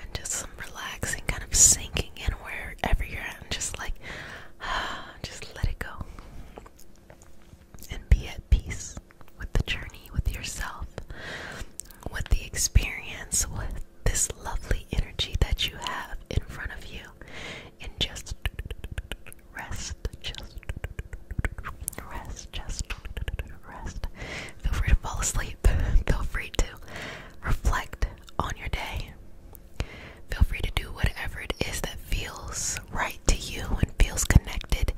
[SPEAKER 1] and just some relaxing, kind of sinking in wherever you're at, and just like, just let it go. And be at peace with the journey, with yourself, with the experience, with this lovely energy that you have in front of you. And just rest, just rest, just rest. Feel free to fall asleep. Feel free to reflect on your day. Feel free to do whatever it is that feels right to you and feels connected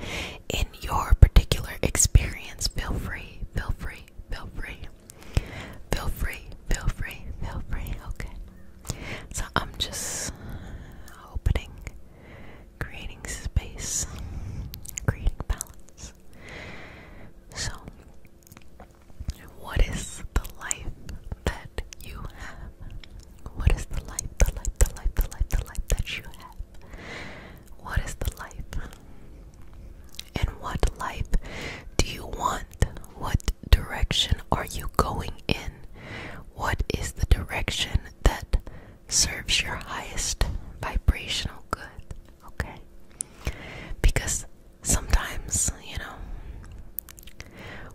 [SPEAKER 1] in your particular experience. Feel free, feel free, feel free. Feel free, feel free, Okay. So I'm just opening, creating space, creating balance. So what is the life that you have? What is the life, the life, the life, the life, the life that you have? What is the life? And what life do you want? What direction are you going in? What is the direction that serves your highest vibrational good? Okay? Because sometimes, you know,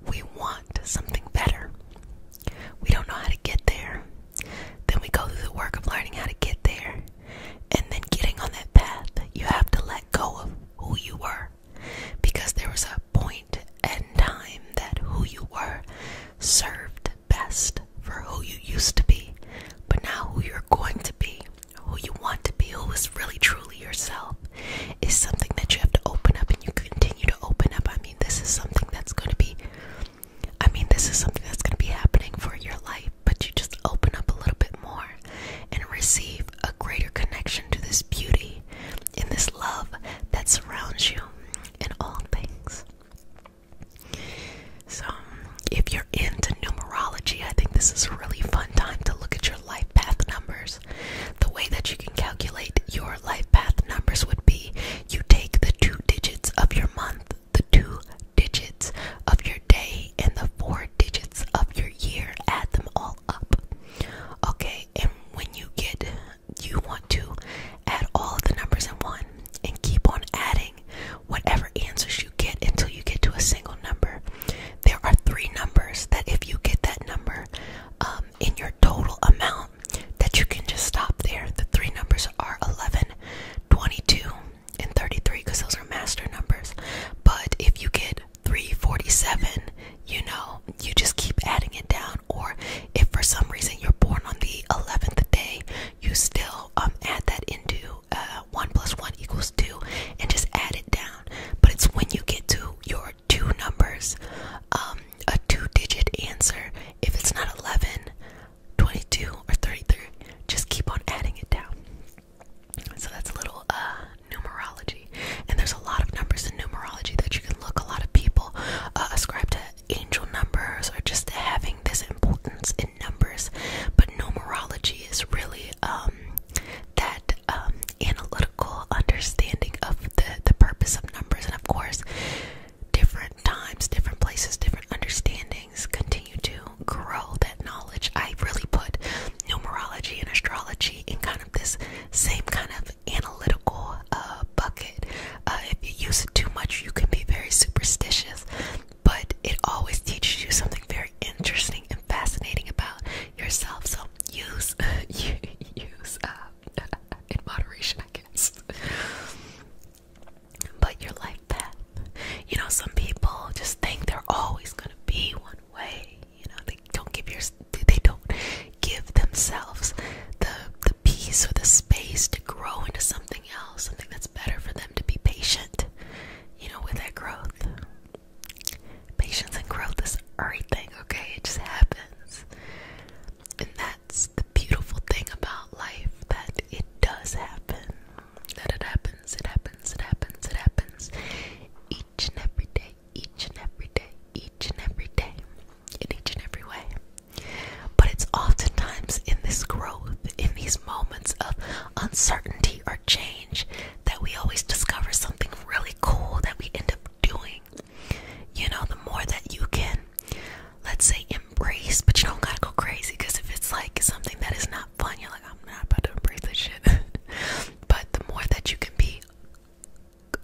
[SPEAKER 1] we want something better. We don't know how to get there. Then we go through the work of learning how to get there. And then getting on that path, you have to let go of who you were. Because there was a point and time that who you were served best for who you used to be. But now who you're going to be who you want to be, who is really truly yourself, is something that you have to open up and you continue to open up. I mean, this is something that's going to be, I mean, this is something that's going to be happening for your life, but you just open up a little bit more and receive a greater connection to this beauty and this love that surrounds you in all things. So, if you're into numerology, I think this is a really fun time to look at your life path numbers. The way that you can calculate your life path numbers would be you take the two digits of your month, the two digits of your day, and the four digits of your year, add them all up. Okay, and when you get, you want to add all of the numbers in one and keep on adding whatever answers you get until you get to a single number there are three numbers that if you get that number um, in your total amount that you can just stop there the three numbers are 11 22 and 33 because those are master numbers but if you get 347 you know you just keep adding it down or if for some reason you're born on the 11th day you still um, add that into uh, 1 plus 1 equals 2 and just add it down, but it's when you get to your two numbers, um, a two digit answer. If it's not 11, 22, or 33, just keep on adding it down. So that's a little uh, numerology. And there's a lot of numbers in numerology that you can look. A lot of people uh, ascribe to angel numbers or just having this importance in numbers. But numerology is really um, that um, analytical understanding of the, the purpose of numbers. And of course, different times, different places, different understandings continue to grow that knowledge. I really put numerology and astrology in kind of this same kind of analytical uh, bucket. Uh, if you use it too much, you can be very superstitious, but it always teaches you something very interesting and fascinating about yourself. So use use uh, in moderation, I guess. But you're life path, you know, some people just think they're always gonna be one way. You know, they don't give yours. they don't give themselves the the peace or the space to grow into something else, something that's better for them to be patient. You know, with that growth. Patience and growth is everything, okay? It just happens. And that's the beautiful thing about life that it does happen. That it happens, it happens, it happens, it happens. Each and every day, each and every day, each and every day, in each and every way. But it's oftentimes in this growth, in these moments of uncertainty or change that we always discover something really cool that we end up doing. You know, the more that you can, let's say, embrace, but you don't gotta go crazy because if it's like something that is not fun, you're like, I'm not about to embrace this shit. but the more that you can be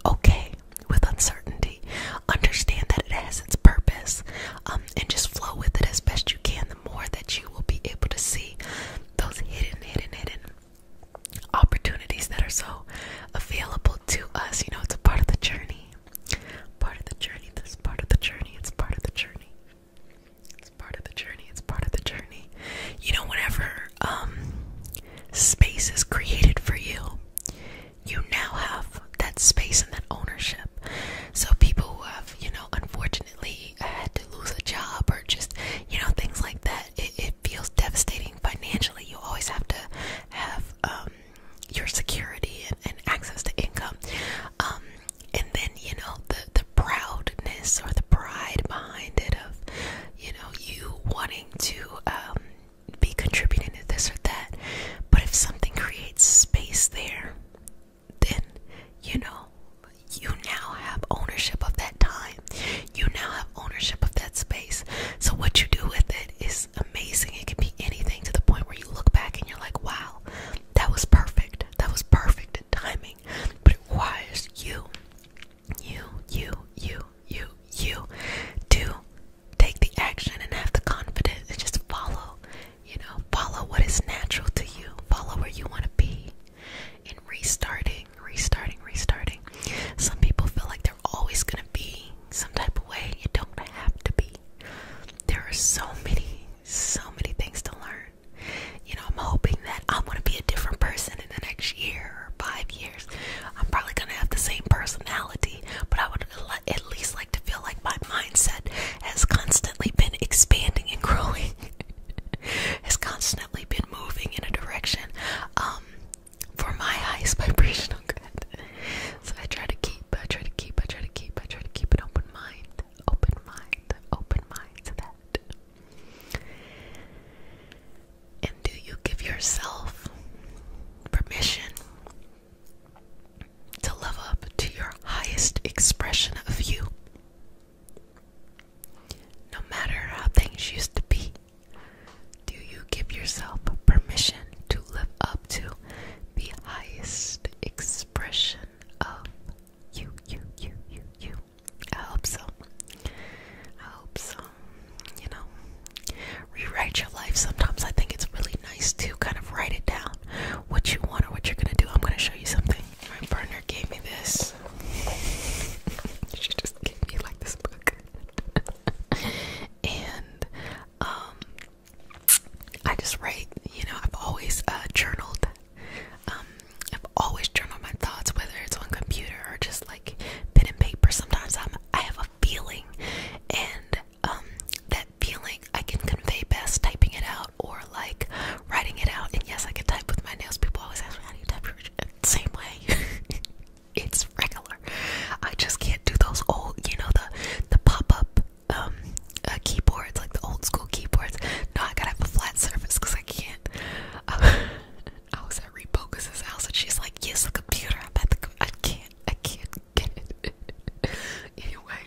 [SPEAKER 1] okay with uncertainty, understand that it has its purpose, um, and just flow with it as best you can, the more that you will be able to see those hidden, hidden, hidden opportunities that are so available to us. You know, it's a part of the journey. Part of the journey. This part of the journey. It's part of the journey. It's part of the journey. It's part of the journey. You know, whenever um, space is created for you, you now have that space and that ownership. So people who have, you know, unfortunately had to lose a job or just, you know, things like that it, feels devastating financially. You always have to have um, your security and, access to income. Um, and then, you know, the, the proudness or the pride behind it of, you know, you wanting to um, be contributing to this or that. But if something creates space there, then, you know, you now have ownership of that time. You now have ownership of that space. So, what you do with it is amazing. It can be anything to the point where you look back and you're like, wow, that was perfect. That was perfect timing. But it requires you, you, you, you, you, you to take the action and have the confidence and just follow, you know, follow what is natural to you, follow where you want to be and restarting, restarting, restarting. Some people feel like they're always gonna be some type of way. You don't have to be. There are so many, so many things to learn. You know, I'm hoping that I'm gonna be a different person in the next year or five years. I'm probably gonna have the same personality, but I would at least like to feel like my mindset has constantly been expanding and growing. has constantly been moving in a direction um, for my highest vibrational good. So I try to keep, I try to keep, I try to keep, I try to keep an open mind, open mind, open mind that. And do you give yourself permission to live up to your highest expression of you? No matter how things used to be, do you give yourself permission to live up to the highest expression of you, you, you, you, you? I hope so. I hope so. You know, rewrite your life. Sometimes I think it's really nice to kind of write it down what you want or what you're going to do. I'm going to show you something. My partner gave me this she just gave me like this book. and um I just write, you know, I've always uh, journaled. Um I've always journaled my thoughts, whether it's on computer or just like pen and paper. Sometimes I'm I have a feeling and um that feeling I can convey best typing it out or like writing it out. And yes, I can type with my nails. People always ask me how do you type with your same way. it's regular. I just can't do those old, you know, the the pop-up um uh, keyboards, like the old school keyboards. No, I gotta have a flat surface because I can't. I was at Repocus's house and she's like, "Use the computer." I'm at I can't. I can't get it. anyway,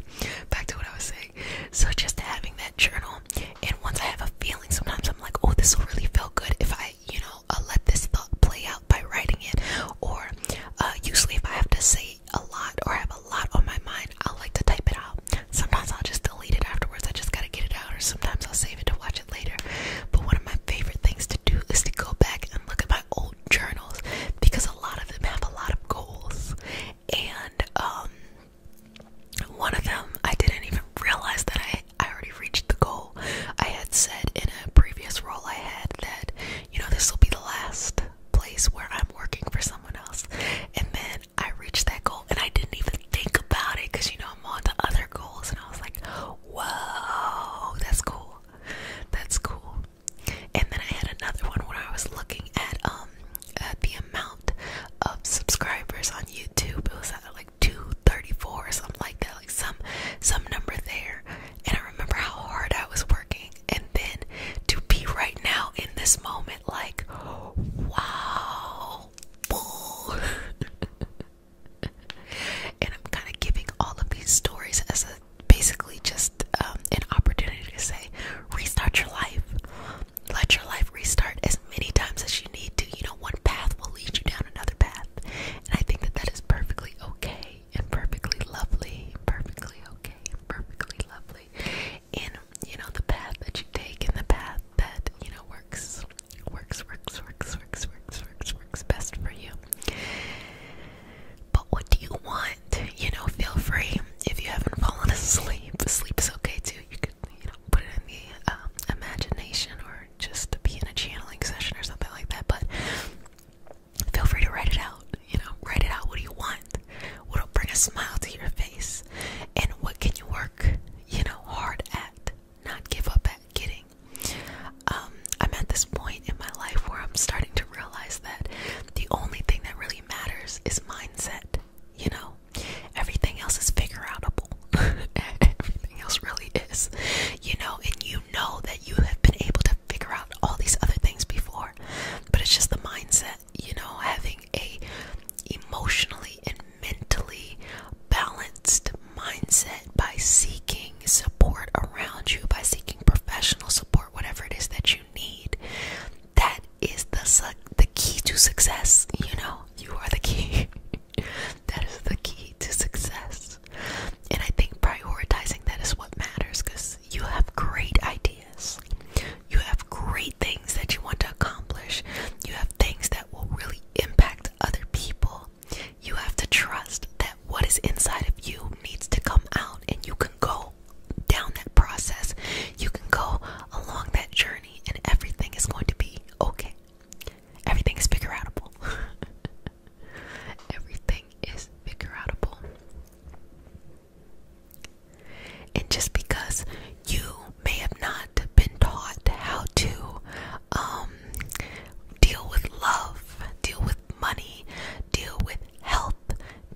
[SPEAKER 1] back to what I was saying. So just having that journal, and once I have a feeling, sometimes I'm like, "Oh, this will really feel good if I I, you know, uh, let this thought play out by writing it. Or uh, usually, if I have to say a lot or have a lot on my mind, i like to type it out. Sometimes I'll just delete it afterwards. I just gotta get it out. Or sometimes I'll save it to watch it later. But one of my favorite things to do is to go back and look at my old journals because a lot of them have a lot of goals. And um, one of them I didn't even realize that I I already reached the goal. I had said in a previous role I had that, you know, this will be the last place where I'm working for someone else. And then I reached that goal and I didn't even think about it because, you know, I'm on to other goals. And I was like, whoa, that's cool. That's cool. And then I had another one where I was looking at, um, at the amount of subscribers on YouTube. It was at like 234 or something like that, like some some number there. And I remember how hard I was working, and then to be right now in this moment, like wow, and I'm kind of giving all of these stories as a basically just um, an opportunity to say, restart your life, let your life restart many times as you need to. You know, one path will lead you down another path. And I think that that is perfectly okay and perfectly lovely, perfectly okay and perfectly lovely. In, you know, the path that you take in the path that, you know, works, works, works, works, works, works, works, works best for you. But what do you want? You know, feel free. If you haven't fallen asleep, sleep is okay too. You could, you know, put it in the um, imagination or just to be in a channeling session or something like that. But feel free to write it out. You know, write it out. What do you want? What'll bring a smile to your face? And what can you work, you know, hard at? Not give up at getting. Um, I'm at this point in my life where I'm starting to realize that the only thing that really matters is mindset. You know, everything else is figure outable. Everything else really is. You know, and you know that you have been able to figure out all these other things before. But it's just the mindset, you know, having a emotionally and mentally balanced mindset by seeking support around you, by seeking professional support, whatever it is that you need. That is the the key to success, you know. You are the key. that is the key to success. And I think prioritizing that is what matters because you have great ideas. You have great things that you want to accomplish. You have things that will really impact other people. You have to trust that what is inside of you needs to come out, and you can go down that process. You can go along that journey, and everything is going to be okay. Everything's figure outable. Everything is figure And just because you may have not been taught how to um, deal with love, deal with money, deal with health,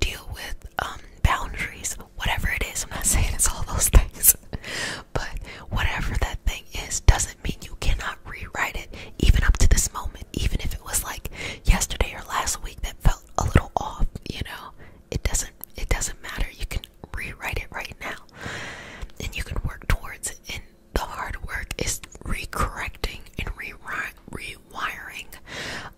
[SPEAKER 1] deal with um, boundaries, whatever it is, I'm not saying it's all those things, but whatever that thing is doesn't mean you cannot rewrite it, even up to this moment, even if it was like yesterday or last week that felt a little off, you know, it doesn't it doesn't matter. You can rewrite it right now. And you can work towards it. And the hard work is recorrecting and rewiring rewiring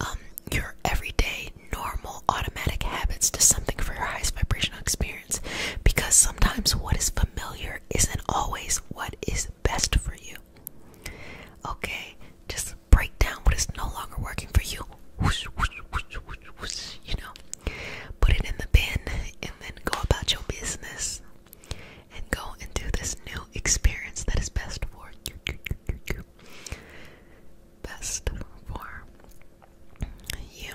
[SPEAKER 1] um, your everyday normal automatic habits to something for your highest vibrational experience because sometimes what is familiar isn't always what is best for you. Okay, just break down what is no longer working for you. you know, put it in the bin and then go about your business and go and do this new experience that is best for Best for you.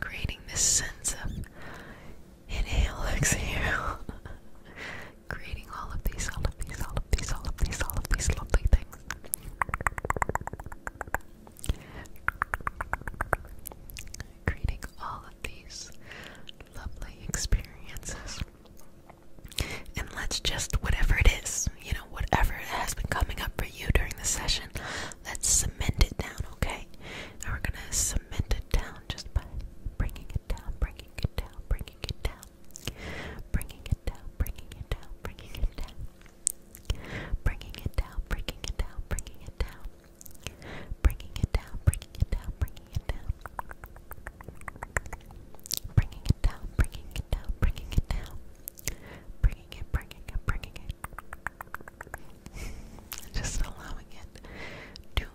[SPEAKER 1] creating this sense of inhale, exhale, creating all of these, all of these, all of these, all of these, all of these lovely things. Creating all of these lovely experiences. And let's just, whatever it is, you know, whatever has been coming up for you during the session. Let's cement it down, okay? And we're gonna cement it down just by bringing it down, bringing it down, bringing it down, bringing it down, bringing it down, bringing it down, bringing it down, bringing it down, bringing it down, bringing it down, bringing it down, bringing it down, bringing it down, bringing it down, bringing it down, bringing it, bringing it, bringing it. Just allowing it to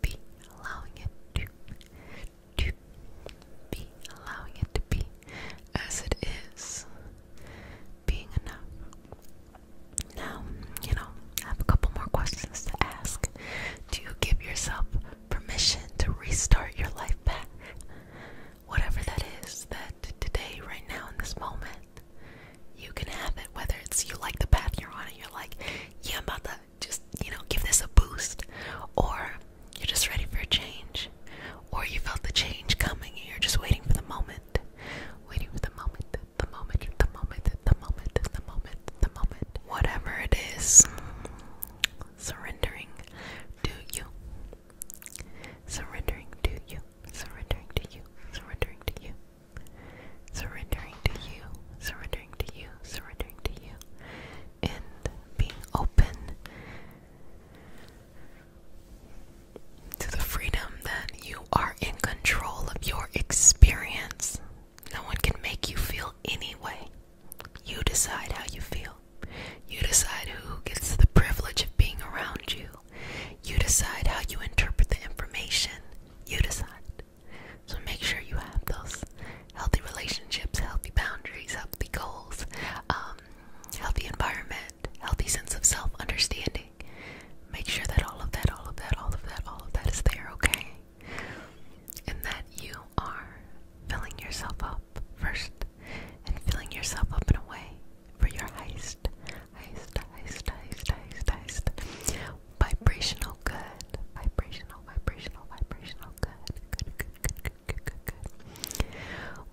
[SPEAKER 1] be, allowing it to, to be, allowing it to be as it is, being enough. Now, you know, I have a couple more questions to ask. Do you give yourself permission to restart your life back? Whatever that is, that today, right now, in this moment, you can have it. Whether it's you like the path you're on and you're like, yeah, I'm about to just, you know, give this a boost, or you're just ready for a change, or you felt the change coming and you're just waiting for the moment, waiting for the moment, the moment, the moment, the moment, the moment, the moment. Whatever it is, surrendering to you. Surrendering to you surrendering to you, surrendering to you, surrendering to you, surrendering to you, surrendering to you, and being open to the freedom that you are in control of your experience. No one can make you feel any way. You decide how you feel. You decide who gets the privilege of being around you. You decide how you interpret the information. You decide. So make sure you have those healthy relationships, healthy boundaries, healthy goals, um, healthy environment, healthy sense of self understanding. Make sure that all of that, all of that, all of that, all of that is there, okay? And that you are filling yourself up first and filling yourself up in a way for your heist. Heist, heist, heist, heist, heist. Vibrational good. Vibrational, vibrational, vibrational good. Good, good, good, good, good, good, good.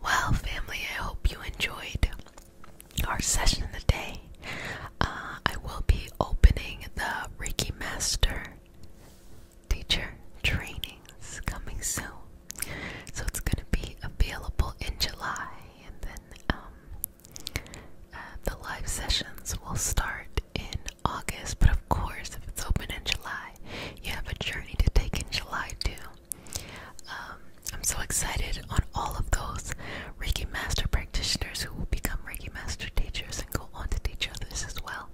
[SPEAKER 1] Well, family, I hope you enjoyed our session today. Uh, I will be opening the Reiki Master teacher trainings coming soon. So it's going to be available in July and then um, uh, the live sessions will start in August, but of course, if it's open in July, you have a journey to take in July too. Um, I'm so excited on all of those Reiki Master practitioners who will become Reiki Master teachers and go on to teach others as well.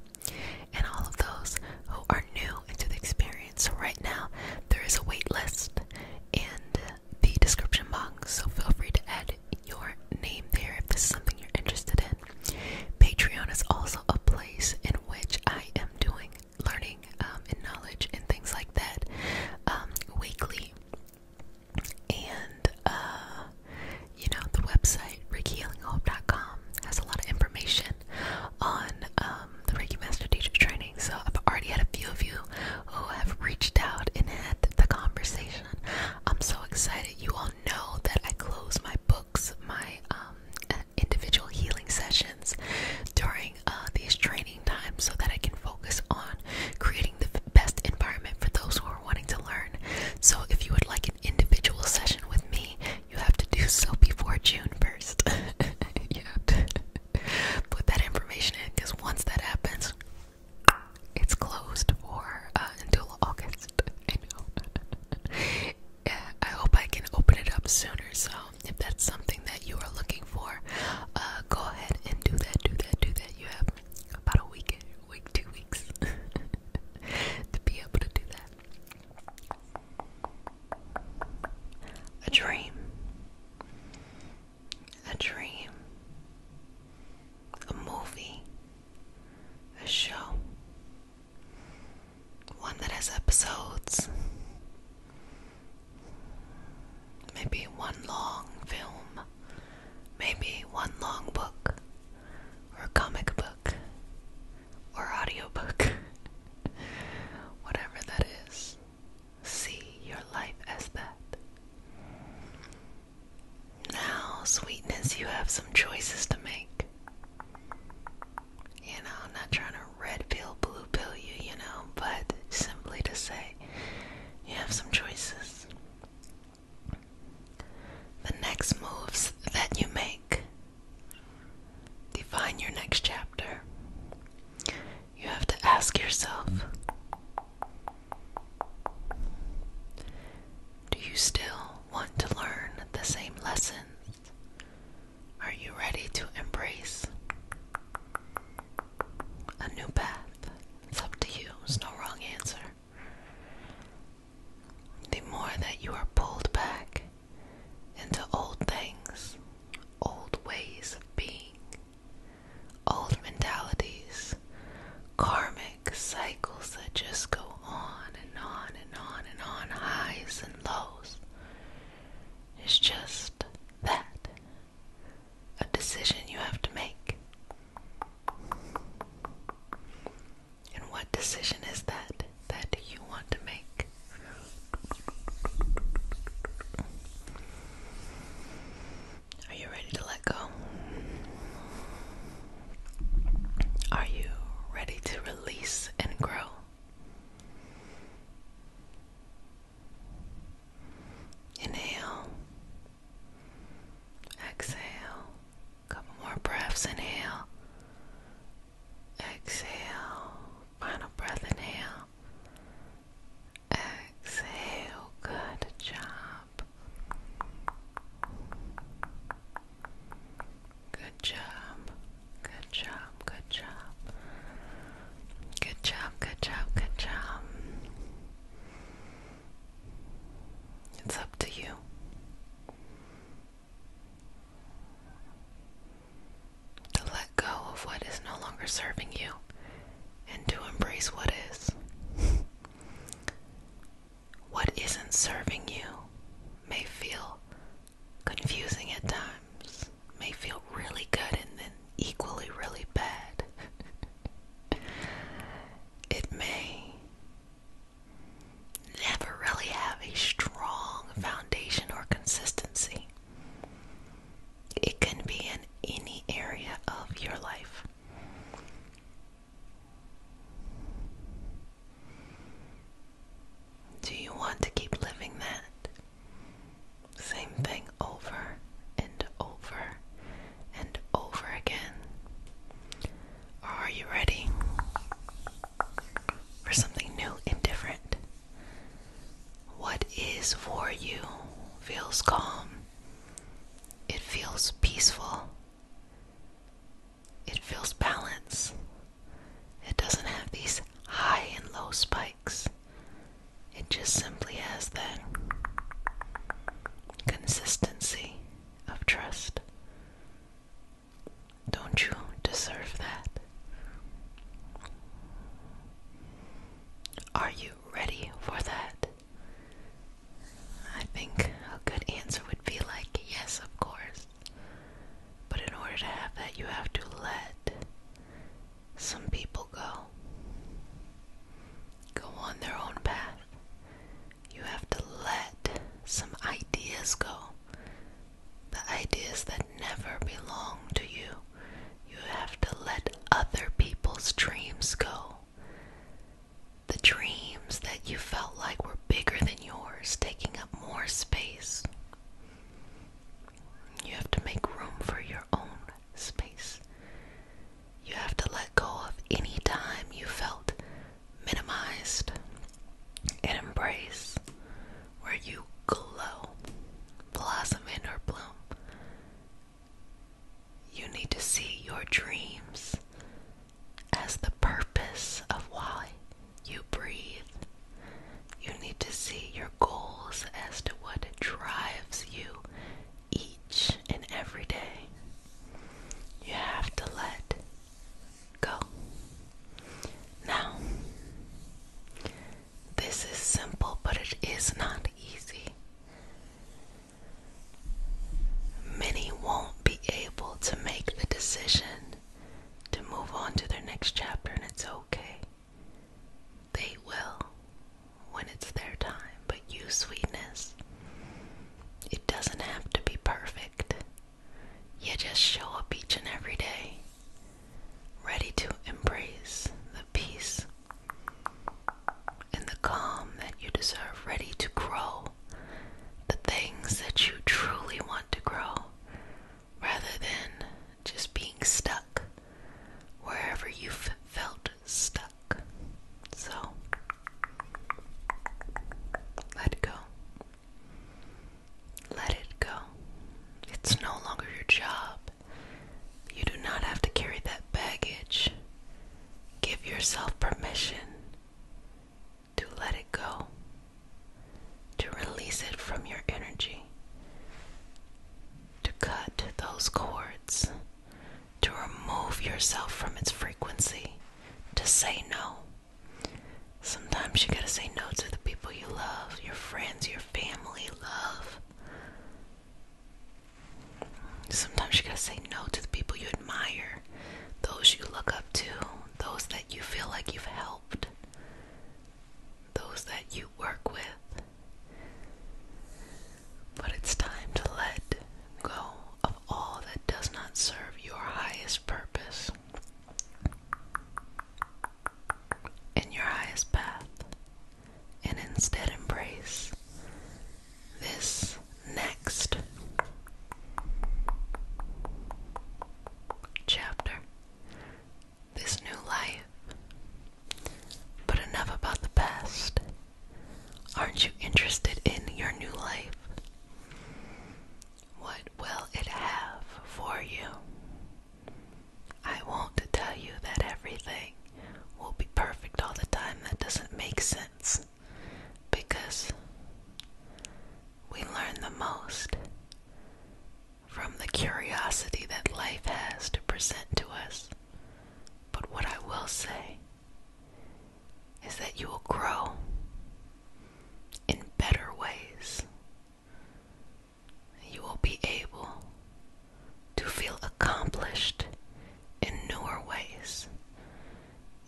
[SPEAKER 1] And all of those who are new into the experience. So right now, there is a wait list, and the description box, so feel free to add your name there if this is something you're interested in. Patreon is also a place in which I am doing learning um, and knowledge and things like that um, weekly. And uh, you know, the website RickyHealingHope.com has a lot of information on um, the Reiki Master Teacher Training so I've already had a few of you who have reached out and had the conversation. I'm so excited. You all know that I close my books, my um, individual healing sessions during uh, these training times so that I can focus on creating the best environment for those who are wanting to learn. So if you would like an individual session with me, you have to do so before June 1st. you put that information in because once that happens, it's closed for uh, until August. I know. I hope I can open it up sooner. So if that's something that you are looking for, uh, go ahead and do that. Do that. Do that. You have about a week, week, two weeks to be able to do that. A dream a dream, a movie, a show, one that has episodes, maybe one long film, maybe one long book, or comic book, or audiobook, whatever that is see your life as that. Now, sweetness, you have some choices to make. You know, I'm not trying to red pill, blue pill you, you know, but simply to say you have some choices. The next moves that you make define your next chapter you have to ask yourself Do you still want to learn the same lessons? Are you ready to embrace a new path? It's up to you, there's no wrong answer. The more that you are pulled back into old things, old ways of being, old mentalities, karmic cycles that just go on and on and on and on, highs and lows. It's just that a decision you have to make. And what decision is that that you want to make? Are you ready to let go? Are you ready to release and grow? Inhale. Exhale. Couple more breaths. Inhale. Exhale. Final breath. Inhale. Exhale, good job. Good job. Good job. Good job. Good job. Good job. It's up to you. To let go of what is no longer serving you and to embrace what is. what isn't serving you may feel confusing at times, may feel really good and then equally really bad. it may never really have a strong foundation or consistency. It can be in any area of your life. Do you want to keep living that? Same thing over and over and over again. Or are you ready for something new and different? What is for you feels calm it feels peaceful. It feels balance. It doesn't have these high and low spikes. It just simply has that consistency of trust. Don't you deserve that? Are you ready for that? I think a good answer would be like, yes, of course. But in order to have that, you have to let some people go. Go on their own path. You have to let some ideas go. The ideas that never belong to you. You have to let other people's dreams go. The dreams that you felt like were bigger than yours, taking up more space. You have to make room for your own space. You have to let go of any time you felt minimized and embrace where you glow, blossom, and or bloom. You need to see your dreams as the purpose of why you breathe. You need to see your goals as to what drives you each and every day. You have to let go. Now, this is simple, but it is not easy. Many won't be able to make the decision to move on to their next chapter, and it's okay. They will when it's their time, but you, sweetness, it doesn't have to be perfect. You just show up each and every day, ready to embrace the peace in the calm that you deserve, ready to grow the things that you truly want to grow, rather than just being stuck wherever you've felt stuck. So, let go. Let it go. It's no longer your job you do not have to carry that baggage. Give yourself permission to let it go, to release it from your energy, to cut those cords, to remove yourself from its frequency, to say no. Sometimes you gotta say no to the people you love, your friends, your family, love. Sometimes you gotta say no to the people you admire, those you look up to, those that you feel like you've helped, those that you work with. But it's time to let go of all that does not serve your highest purpose and your highest path and instead embrace this next chapter, this new life. But enough about the past. Aren't you interested in your new life? What will it have for you? I want to tell you that everything will be perfect all the time. That doesn't make sense because we learn the most from the curiosity that life has to present to us. But what I will say is that you will grow in better ways. You will be able to feel accomplished in newer ways,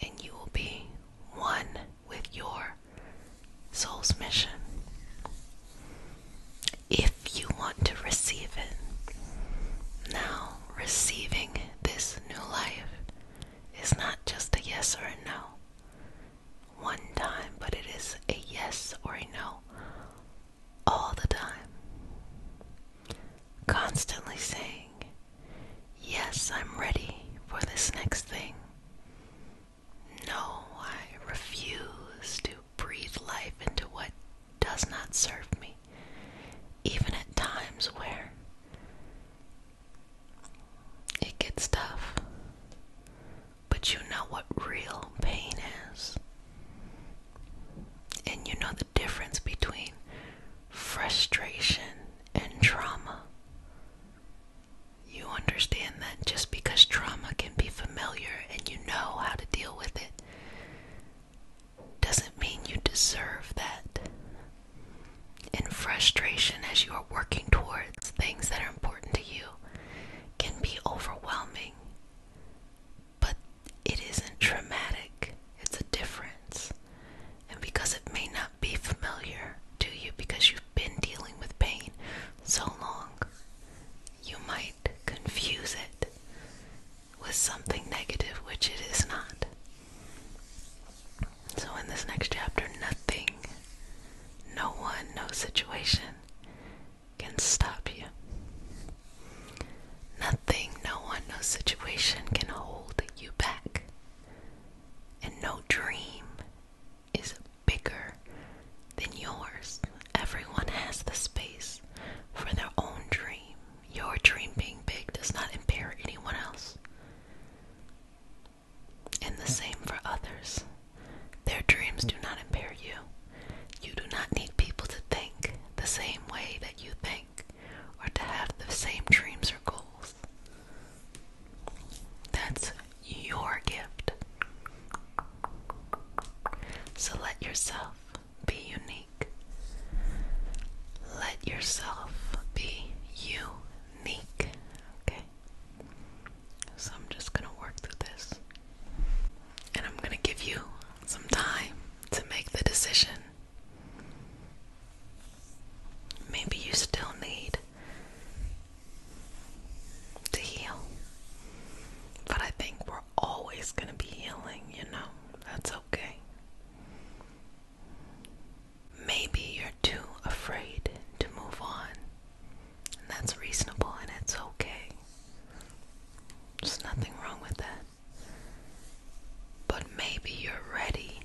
[SPEAKER 1] and you will be one with your soul's mission. If you want to receive it, now receiving this new life is not just a yes or a no one time, but it is a yes or a no all the time. Constantly saying, Yes, I'm ready for this next thing. No, I refuse to breathe life into what does not serve me, even at times where it gets tough. But you know what real pain is. And you know the difference between frustration and trauma. You understand that just because trauma can be familiar and you know how to deal with it doesn't mean you deserve that. And frustration, as you are working towards things that are important to you, can be overwhelming. But it isn't traumatic, it's a difference. And because it may not be familiar to you because you've been dealing with pain so long, you might confuse it with something negative, which it is not. So, in this next chapter, nothing, no one, no situation can stop you. Nothing, no one, no situation can hold you back. And no dream is bigger than yours. Everyone has the space for their own dream. Your dream being big does not impair anyone else. And the same for others. Their dreams do not impair you. You do not need people to think the same way that you think or to have the same dreams or goals. That's your gift. So let yourself be unique. Let yourself be unique. Okay? So I'm just going to work through this. And I'm going to give you some time to make the decision Maybe you still need to heal. But I think we're always going to be healing, you know? That's okay. Maybe you're too afraid to move on. And that's reasonable and it's okay. There's nothing wrong with that. But maybe you're ready.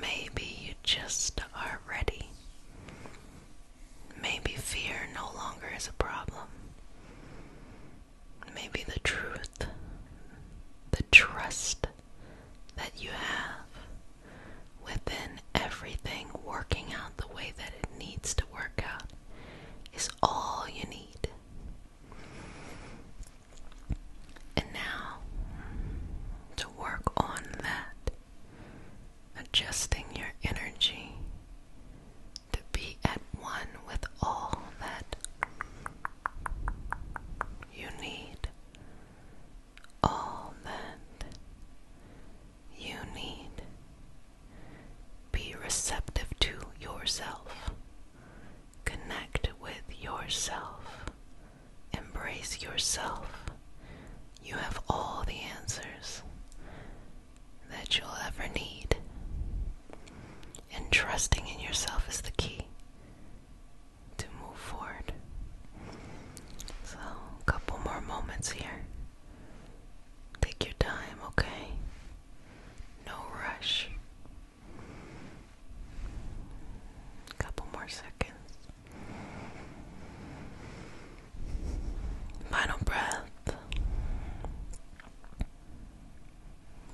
[SPEAKER 1] Maybe you just are ready. Maybe fear no longer is a problem. Maybe the truth, the trust that you have within everything working out the way that it needs to work out is all you need. And now, to work on that, adjusting your energy to be at one with all that you need, all that you need. Be receptive to yourself. Connect with yourself. Embrace yourself. You have all the answers that you'll ever need. And trusting in yourself is the key to move forward. So, a couple more moments here. Take your time, okay? No rush. A couple more seconds. Final breath.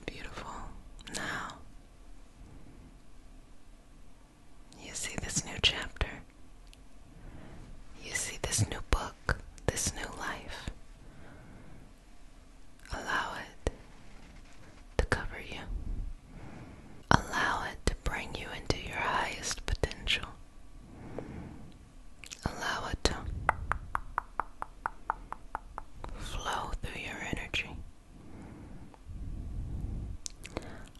[SPEAKER 1] Beautiful. Now, you see this new chapter. You see this new book, this new life. Allow it to cover you. Allow it to bring you into your highest potential. Allow it to flow through your energy.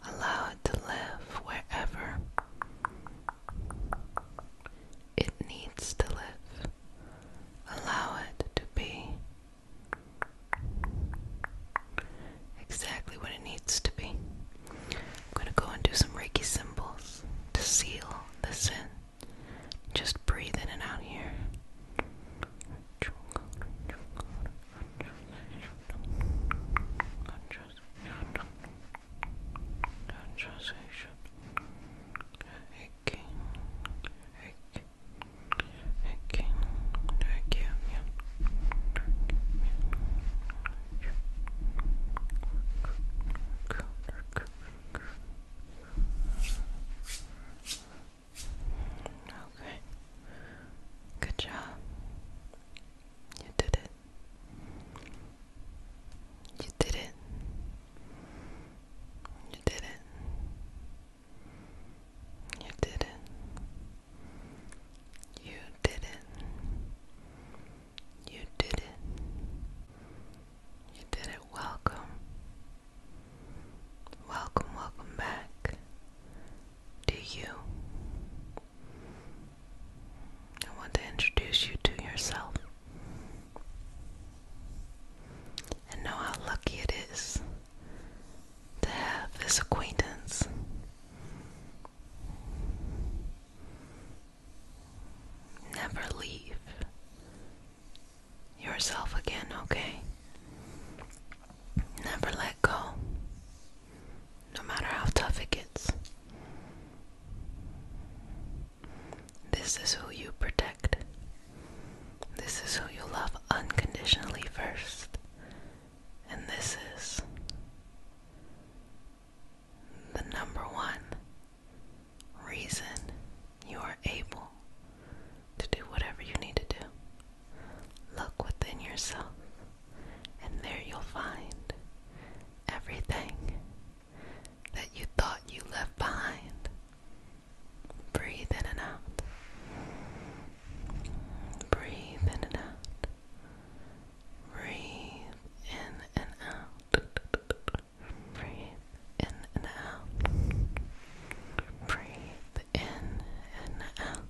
[SPEAKER 1] Allow it to live wherever it needs to live. Allow it to be exactly what it needs to be. I'm going to go and do some Reiki symbols to seal this in. Just breathe in and out here. Okay. Okay. Okay. Okay. Okay. Good job. You did it. You did it. You did it. You did it. You did it. You did it. You did it. Welcome. Welcome, welcome back to you. I want to introduce you to yourself and know how lucky it is to have this acquaintance. Never leave yourself again, okay? Never let go, no matter how tough it gets. This is who you protect. This is who you love unconditionally first. And this is the number one reason you are able to do whatever you need to do. Look within yourself, and there you'll find everything that you thought you left behind Breathe in and out. Breathe in and out. Breathe in and out. Breathe in and out. Breathe in and out.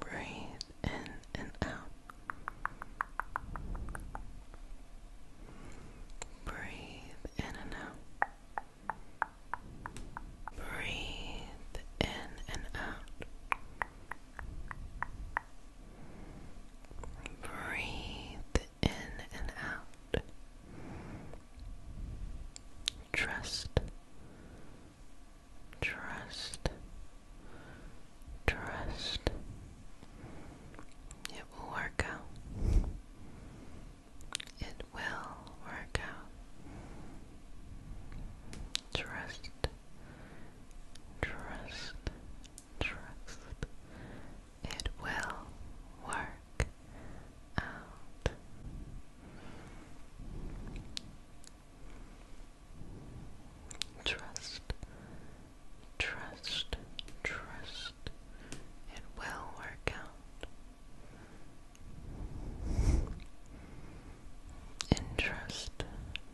[SPEAKER 1] Breathe in and out. Breathe in and out. Breathe in and out. Breathe in and out. Trust. Trust. Trust. It will work out. It will work out. Trust, trust, trust. It will work out. Trust, Trust, trust, it will work out. And trust,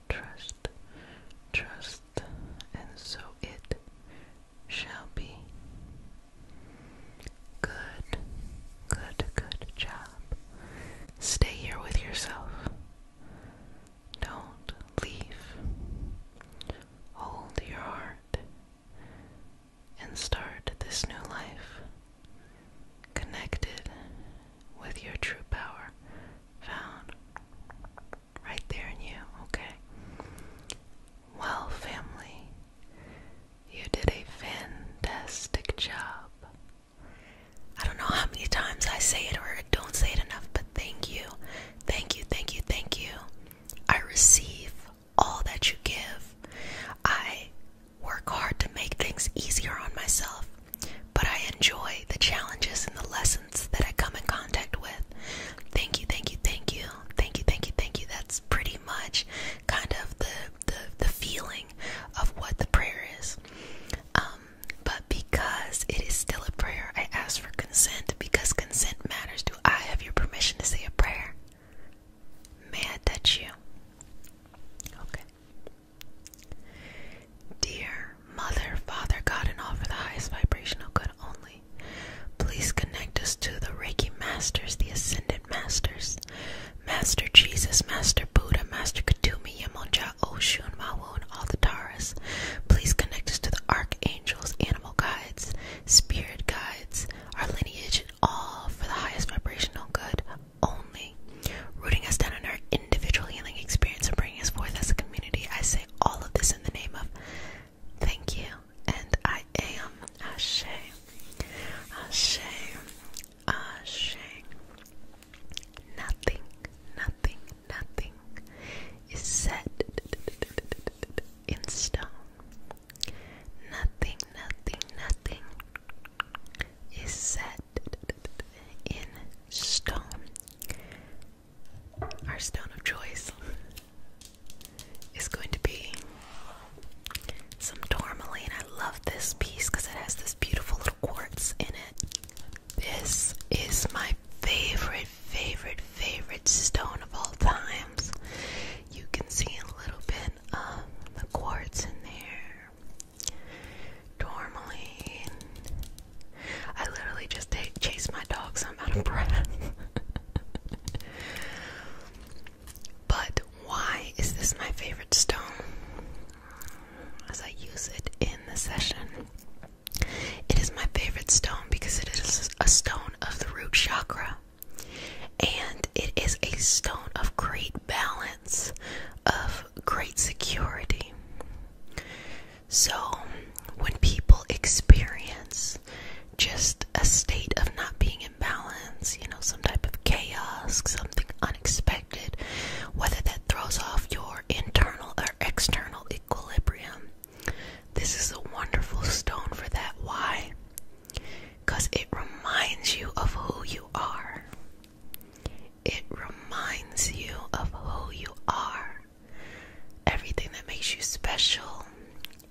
[SPEAKER 1] trust, trust, and so it shall be. Good, good, good job. Stay here with yourself. Don't leave. Hold your heart and start this new life connected with your true power found right there in you, okay? Well, family, you did a fantastic job. I don't know how many times I say it or don't say it enough, but thank you. Thank you, thank you, thank you. I receive all that you give. I work hard to make things easier on myself, but I enjoy the challenges and the lessons that I come in contact with. Thank you, thank you, thank you, thank you, thank you, thank you. That's pretty much kind of the the, feeling of what the prayer is. Um, but because it is still a prayer, I ask for consent because consent matters to do I have your permission to say a prayer? May I touch you? Okay. Dear Mother, Father, God, and all for the highest vibrational good only, please connect us to the Reiki Masters, the Ascended Masters, Master Jesus, Master Buddha, Master Katumi, Yamonja, Oshun, and all the Taras. Please connect us to the Archangels, Animal Guides, Spirit guides our lineage and all for the highest vibrational good only, rooting us down in our individual healing experience and bringing us forth as a community. I say all of this in the name of thank you, and I am Ashe. Ashe. Ashe. Nothing, nothing, nothing is said in stone. Nothing, nothing, nothing is set in stone. Our stone of choice is going to be some tourmaline. I love this piece because it has this beautiful little quartz in it. This is my favorite favorite, favorite stone of all times. You can see a little bit of the quartz in there. Tourmaline. I literally just take, chase my dog, so I'm out of breath. but why is this my favorite stone? As I use it in the session, it is my favorite stone because it is a stone of the root chakra. And it is a stone of great balance, of great security. So, when people experience just a state of not being in balance, you know, some type of chaos, something unexpected, whether that throws off your internal or external equilibrium, this is a wonderful stone for that. Why? Because it reminds you of who you are. It reminds you of who you are. Everything that makes you special,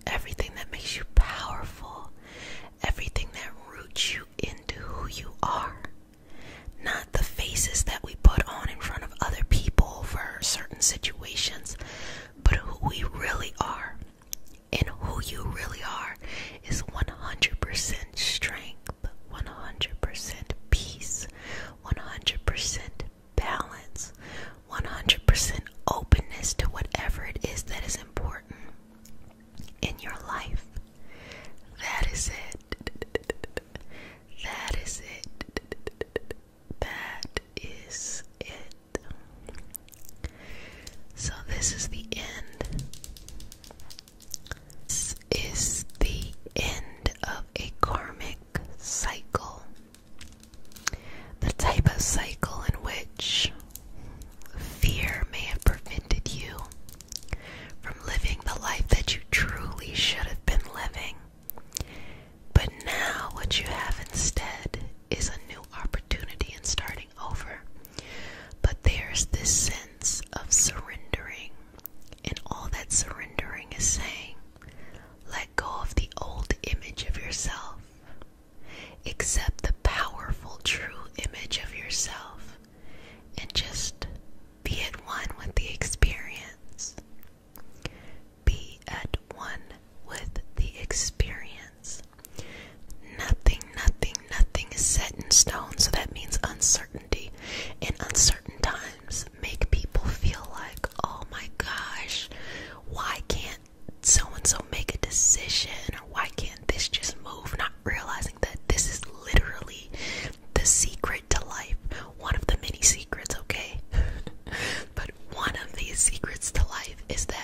[SPEAKER 1] everything that makes you powerful, everything that roots you into who you are. Not the faces that we put on in front of other people for certain situations, but who we really are and who you really are is 100% strength, 100% peace, 100% balance, 100% openness to whatever it is that is important in your life. That is it. That is it. That is it. So this is the end. This is the end of a karmic cycle. The type of cycle in which fear may have prevented you from living the life that you truly should have been living. But now, what you have instead is a new opportunity and starting over. But there's this sense of surrendering, and all that surrendering is saying, let go of the old image of yourself. Accept the powerful, true image of yourself and just be at one with the experience. Be at one with the experience. Nothing, nothing, nothing is set in stone, so that means uncertainty. And uncertain times make people feel like, oh my gosh, why can't so and so make a decision? Or why can't this just move? Not realizing that this is literally the secret to life. One of the many secrets, okay? but one of these secrets to life is that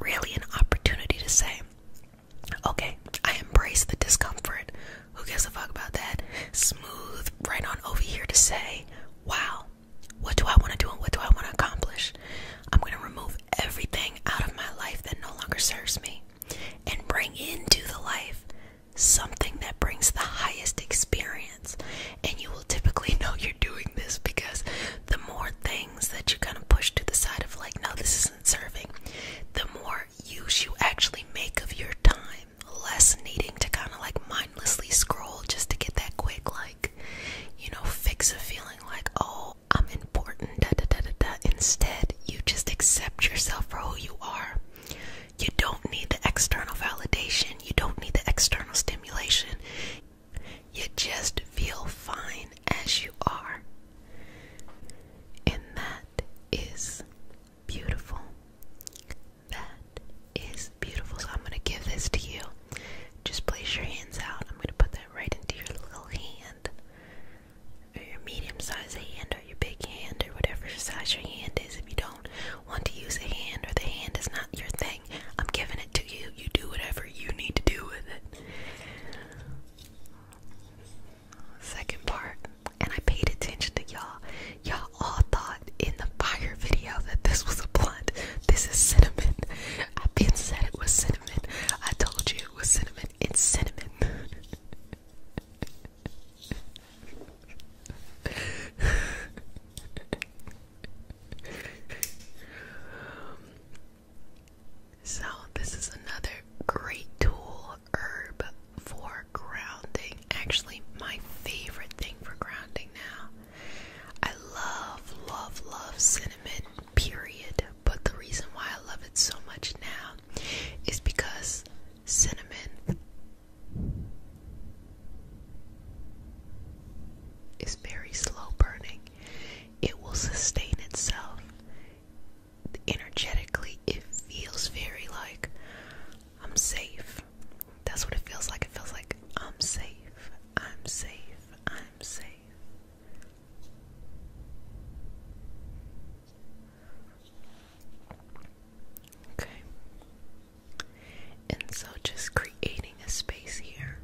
[SPEAKER 1] really an opportunity to say, okay, I embrace the discomfort. Who gives a fuck about that? Smooth right on over here to say, wow, what do I want to do and what do I want to accomplish? I'm going to remove everything out of my life that no longer serves me and bring into the life something that brings the highest experience. And you will typically know you're doing this because the more things that you kind of push to the side of like, no, this isn't serving, the more use you actually make of your time. Less needing to kind of like mindlessly scroll just to get that quick, like, you know, fix of feeling like, oh, I'm important, da da da da da. Instead, you just accept yourself for who you are. You don't need the external validation, you don't need the external stimulation. You just feel fine as you are. And that is beautiful. That is beautiful. So I'm going to give this to you. Just place your hands out. I'm going to put that right into your little hand. Or your medium sized hand, or your big hand, or whatever size your hand is. If you don't want to use a hand, or the hand is not your thing, I'm giving it to you. You do whatever you need to do with it. Second part, and I paid attention to y'all. Y'all all thought in the fire video that this was a blunt. This is cinnamon. I've been said it was cinnamon. I told you it was cinnamon. It's cinnamon. So, this is another great tool herb for grounding. Actually, my favorite thing for grounding now. I love, love, love cinnamon, period. But the reason why I love it so much now is because cinnamon is very slow burning. It will sustain itself energetically. It feels very like I'm safe. That's what it feels like. It feels like I'm safe. I'm safe. I'm safe. Okay. And so just creating a space here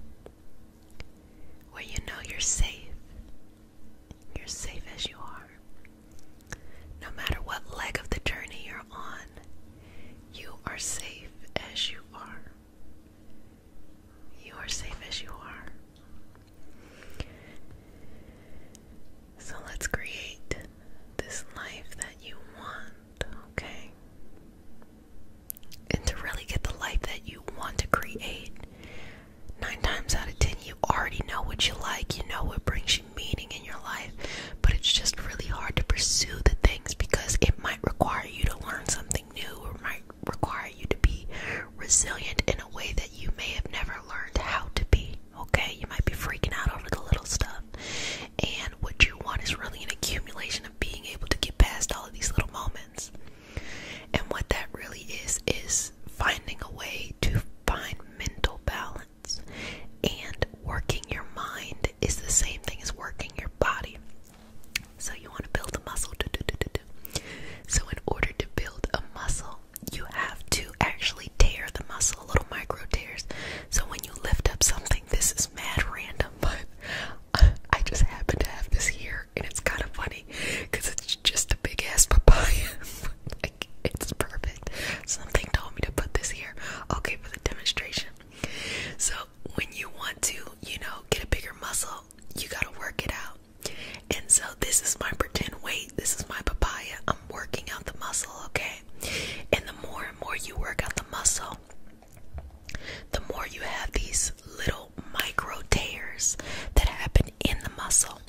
[SPEAKER 1] where you know you're safe. You're safe as you are. No matter what leg of the journey you're on, you are safe as you are. You are safe as you are. So let's create this life that you want, okay? and to really get the life that you want to create, nine times out of ten, you already know what you like, you know what brings you meaning in your life, but it's just really hard to pursue the things because it might require you to learn something new or might require you to be resilient in a way that you may have never learned how to be. Okay, you might be freaking out over the little stuff, and what you want is really an accumulation of being able to get past all of these little moments. And what that really is, is finding a way to find mental balance. And working your mind is the same thing as working your body. So you want to build a muscle. So, in order to build a muscle, you have to actually tear the muscle, little micro tears. So, when you lift up something, this is mad random, but I just happen to have this here, and it's kind of funny because it's just a big ass papaya. it's perfect. Something told me to put this here. Okay, for the demonstration. So, when you want to, you know, get a bigger muscle, you gotta work it out. And so, this is my pretend weight. This is my papaya. I'm working out the muscle, okay? And the more and more you work out the muscle, the more you have these little micro tears that happen in the muscle.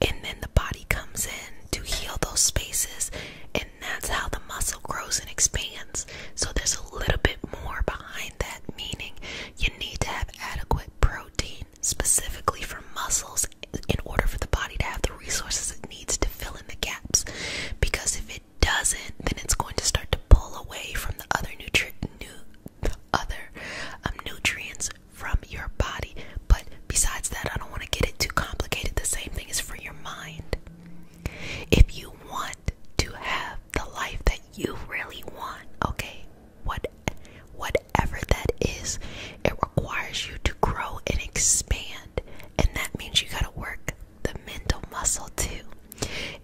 [SPEAKER 1] And then the body comes in to heal those spaces. And that's how the muscle grows and expands. So there's a little bit more behind that, meaning you need to have adequate protein specifically for muscles in order for the body to have the resources it needs to fill in the gaps. Because if it doesn't, then it's going to start to pull away from the other nutri other um, nutrients from your body. But besides that, I don't want to get it too complicated. The same thing is for your mind. If you want to have the life that you really want, okay, what whatever that is, it requires you to grow and expand. And that means you gotta work the mental muscle too.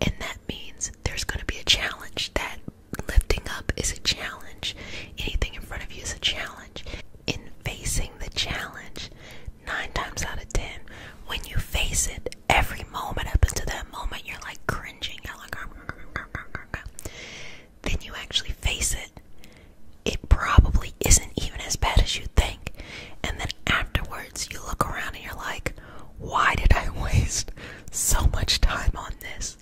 [SPEAKER 1] And that means there's gonna be a challenge that lifting up is a challenge. Anything in front of you is a challenge. In facing the challenge, nine times out of ten, when you face it, every moment up until that moment, you're like cringing. You're like, then you actually face it. It probably isn't even as bad as you think. And then afterwards, you look around and you're like, why did I waste so much time on this?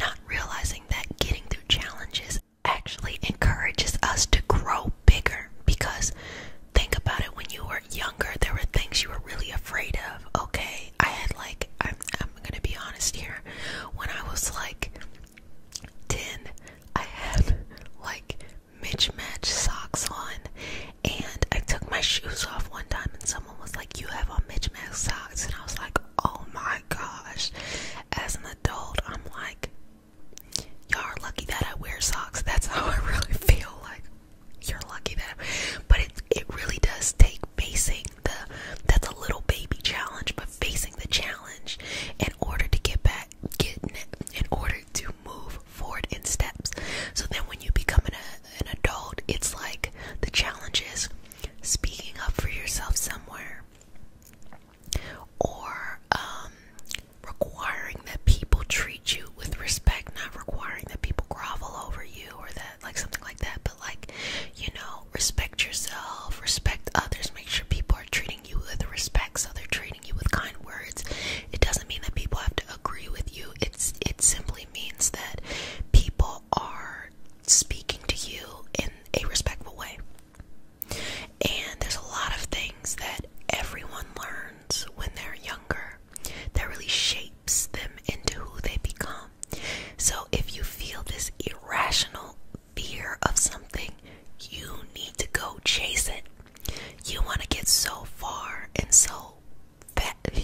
[SPEAKER 1] Not realizing that getting through challenges actually encourages us to grow bigger because think about it when you were younger there were things you were really afraid of okay i had like i'm, I'm gonna be honest here when i was like 10 i had like mismatch socks on and i took my shoes off one time and some someone was like, You have on Mitch Mac socks. And I was like, Oh my gosh. As an adult, I'm like, Y'all are lucky that I wear socks. That's how I really feel. Like, you're lucky that. I... But it, it really does take facing the, that's a little baby challenge, but facing the challenge in order to get back, getting it, in order to move forward in steps. So then when you become an, an adult, it's like the challenge is speaking up for yourself somewhere or um, requiring that people treat you with respect, not requiring that people grovel over you or that, like, something like that, but like, you know, respect yourself, respect others, make sure people are treating you with respect so they're treating you with kind words. It doesn't mean that people have to agree with you. It's it simply means that people are speaking to you in a respectful way. And there's a lot of things that everyone learns when they're younger that really shapes them into who they become. So if you feel this irrational fear of something, you need to go chase it. You want to get so far and so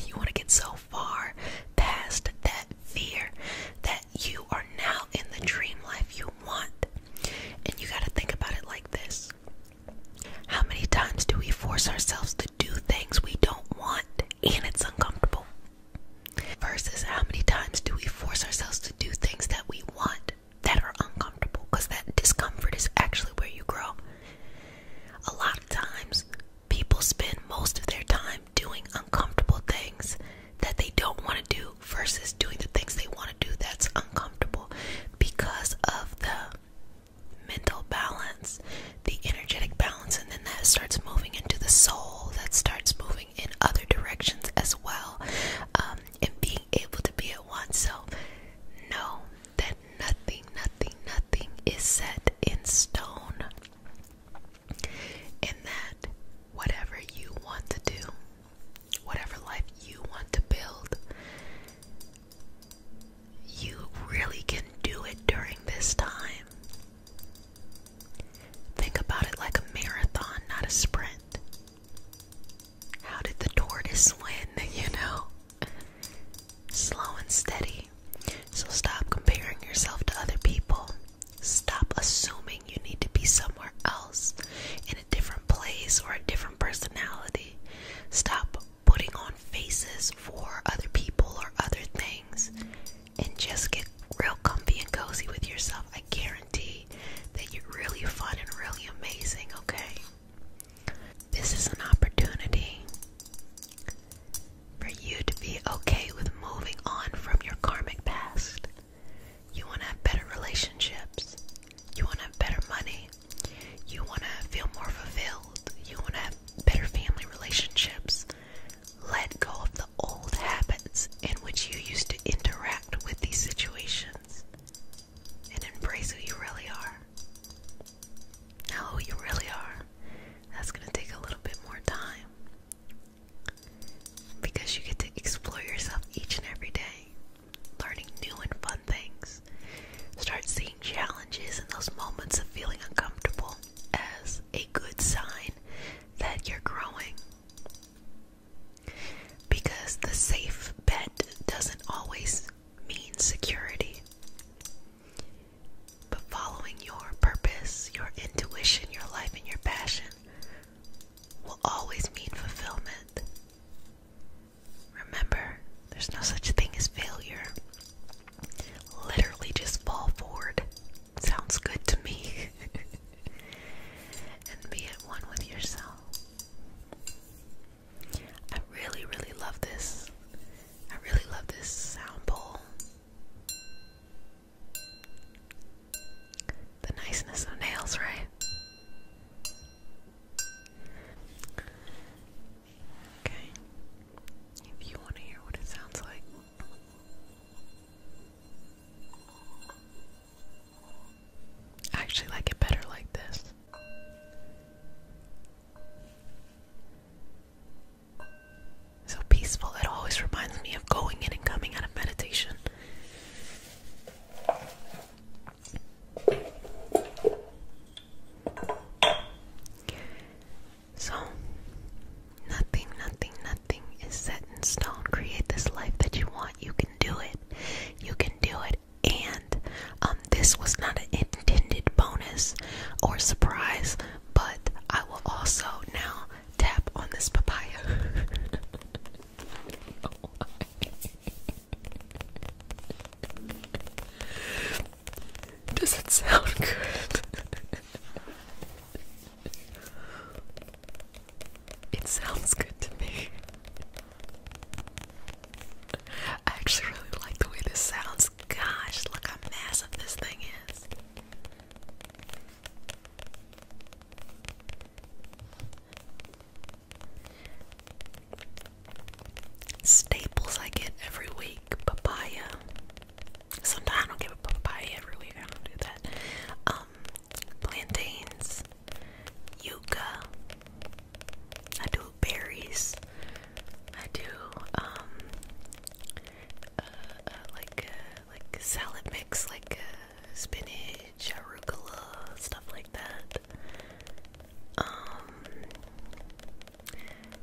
[SPEAKER 1] you want to get so far past that fear that you are now in the dream life you want. And you got to think about it like this How many times do we force ourselves to do things we don't want and it's uncomfortable? Versus how many times do we force ourselves to do things that we want that are uncomfortable? Because that discomfort is actually where you grow. A lot of times, People spend most of their time doing uncomfortable things that they don't want to do versus doing the things they want to do that's uncomfortable because of the mental balance, the energetic balance, and then that starts moving into the soul, that starts moving in other directions as well, um, and being able to be at one. So, know that nothing, nothing, nothing is set in stone in that whatever you want to do, whatever life you want to build, you really can do it during this time. Think about it like a marathon, not a sprint. How did the tortoise win, you know? Slow and steady. So stop comparing yourself to other people. Stop assuming you need to be somewhere else, in a different place or a different personality. Stop putting on faces for other people or other things and just get real comfy and cozy with yourself. I guarantee that you're really fun and really amazing, okay? This is an opportunity for you to be okay with moving on from your karmic past. You want to have better relationships. You want to have better money. You want to feel more fulfilled. You want to have better family relationships. Let go of the old habits in which you used to interact with these situations and embrace who you really are. Now, who you really are that's going to take a little bit more time because you get to explore yourself each and every day, learning new and fun things. Start seeing challenges and those moments of feeling uncomfortable as a good sign that you're growing. Because the safe bet doesn't always mean security. But following your purpose, your intuition, your life, and your passion will always mean fulfillment. Remember, there's no such thing as failure. Literally just fall forward. Sounds good to me. and be at one with yourself. I really, really love this. I really love this sound bowl. The niceness of nails, right? Okay. If you want to hear what it sounds like. I actually like it better like this. So peaceful. It always reminds me of going in and coming out of meditation. So, nothing, nothing, nothing is set in stone. Create this life that you want. You can do it. You can do it. And um, this was not an intended bonus or surprise but I will also now tap on this papaya. Does it sound good? it sounds good to me. I actually really like the way this sounds. Gosh, look how massive this thing is. Staples I get every week, papaya. Sometimes I don't get papaya every week, I don't do that. Um, plantains, yuca, I do berries, I do um, uh, uh, like uh, like salad mix, like spinach, arugula, stuff like that. Um,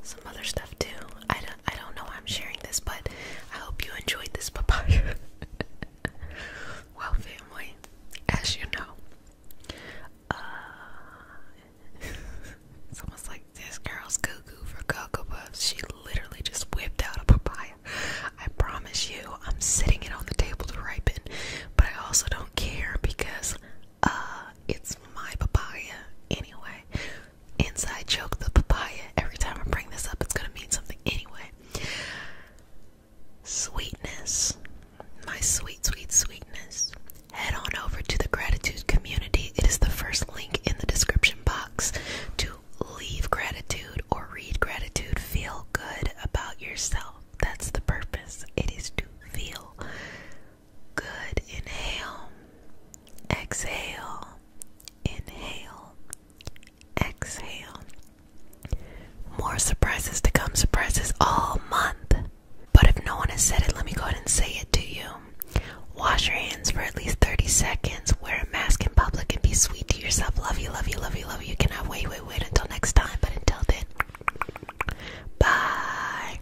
[SPEAKER 1] some other stuff too. I I don't know why I'm sharing this, but I hope you enjoyed this papaya. well, family, as you know, it's almost like this girl's cuckoo for cocoa puffs. She literally just whipped out a papaya. I promise you, I'm sitting it on the table to ripen, but I also don't care because uh it's my papaya anyway. Inside joke the papaya. Every time I bring this up, it's gonna mean something anyway. Sweetness, my sweet, sweet, sweetness. Head on over to the gratitude community. It is the first link in the description box to leave gratitude or read gratitude, feel good about yourself. That's the purpose. It is to feel good. Inhale, exhale, inhale, exhale. More surprises to come, surprises all month. But if no one has said it, let me go ahead and say it to you. Wash your hands for at least 30 seconds. Wear a mask in public and be sweet to yourself. Love you, love you, love you, love you. Can I wait, wait, wait until next time? But until then, bye.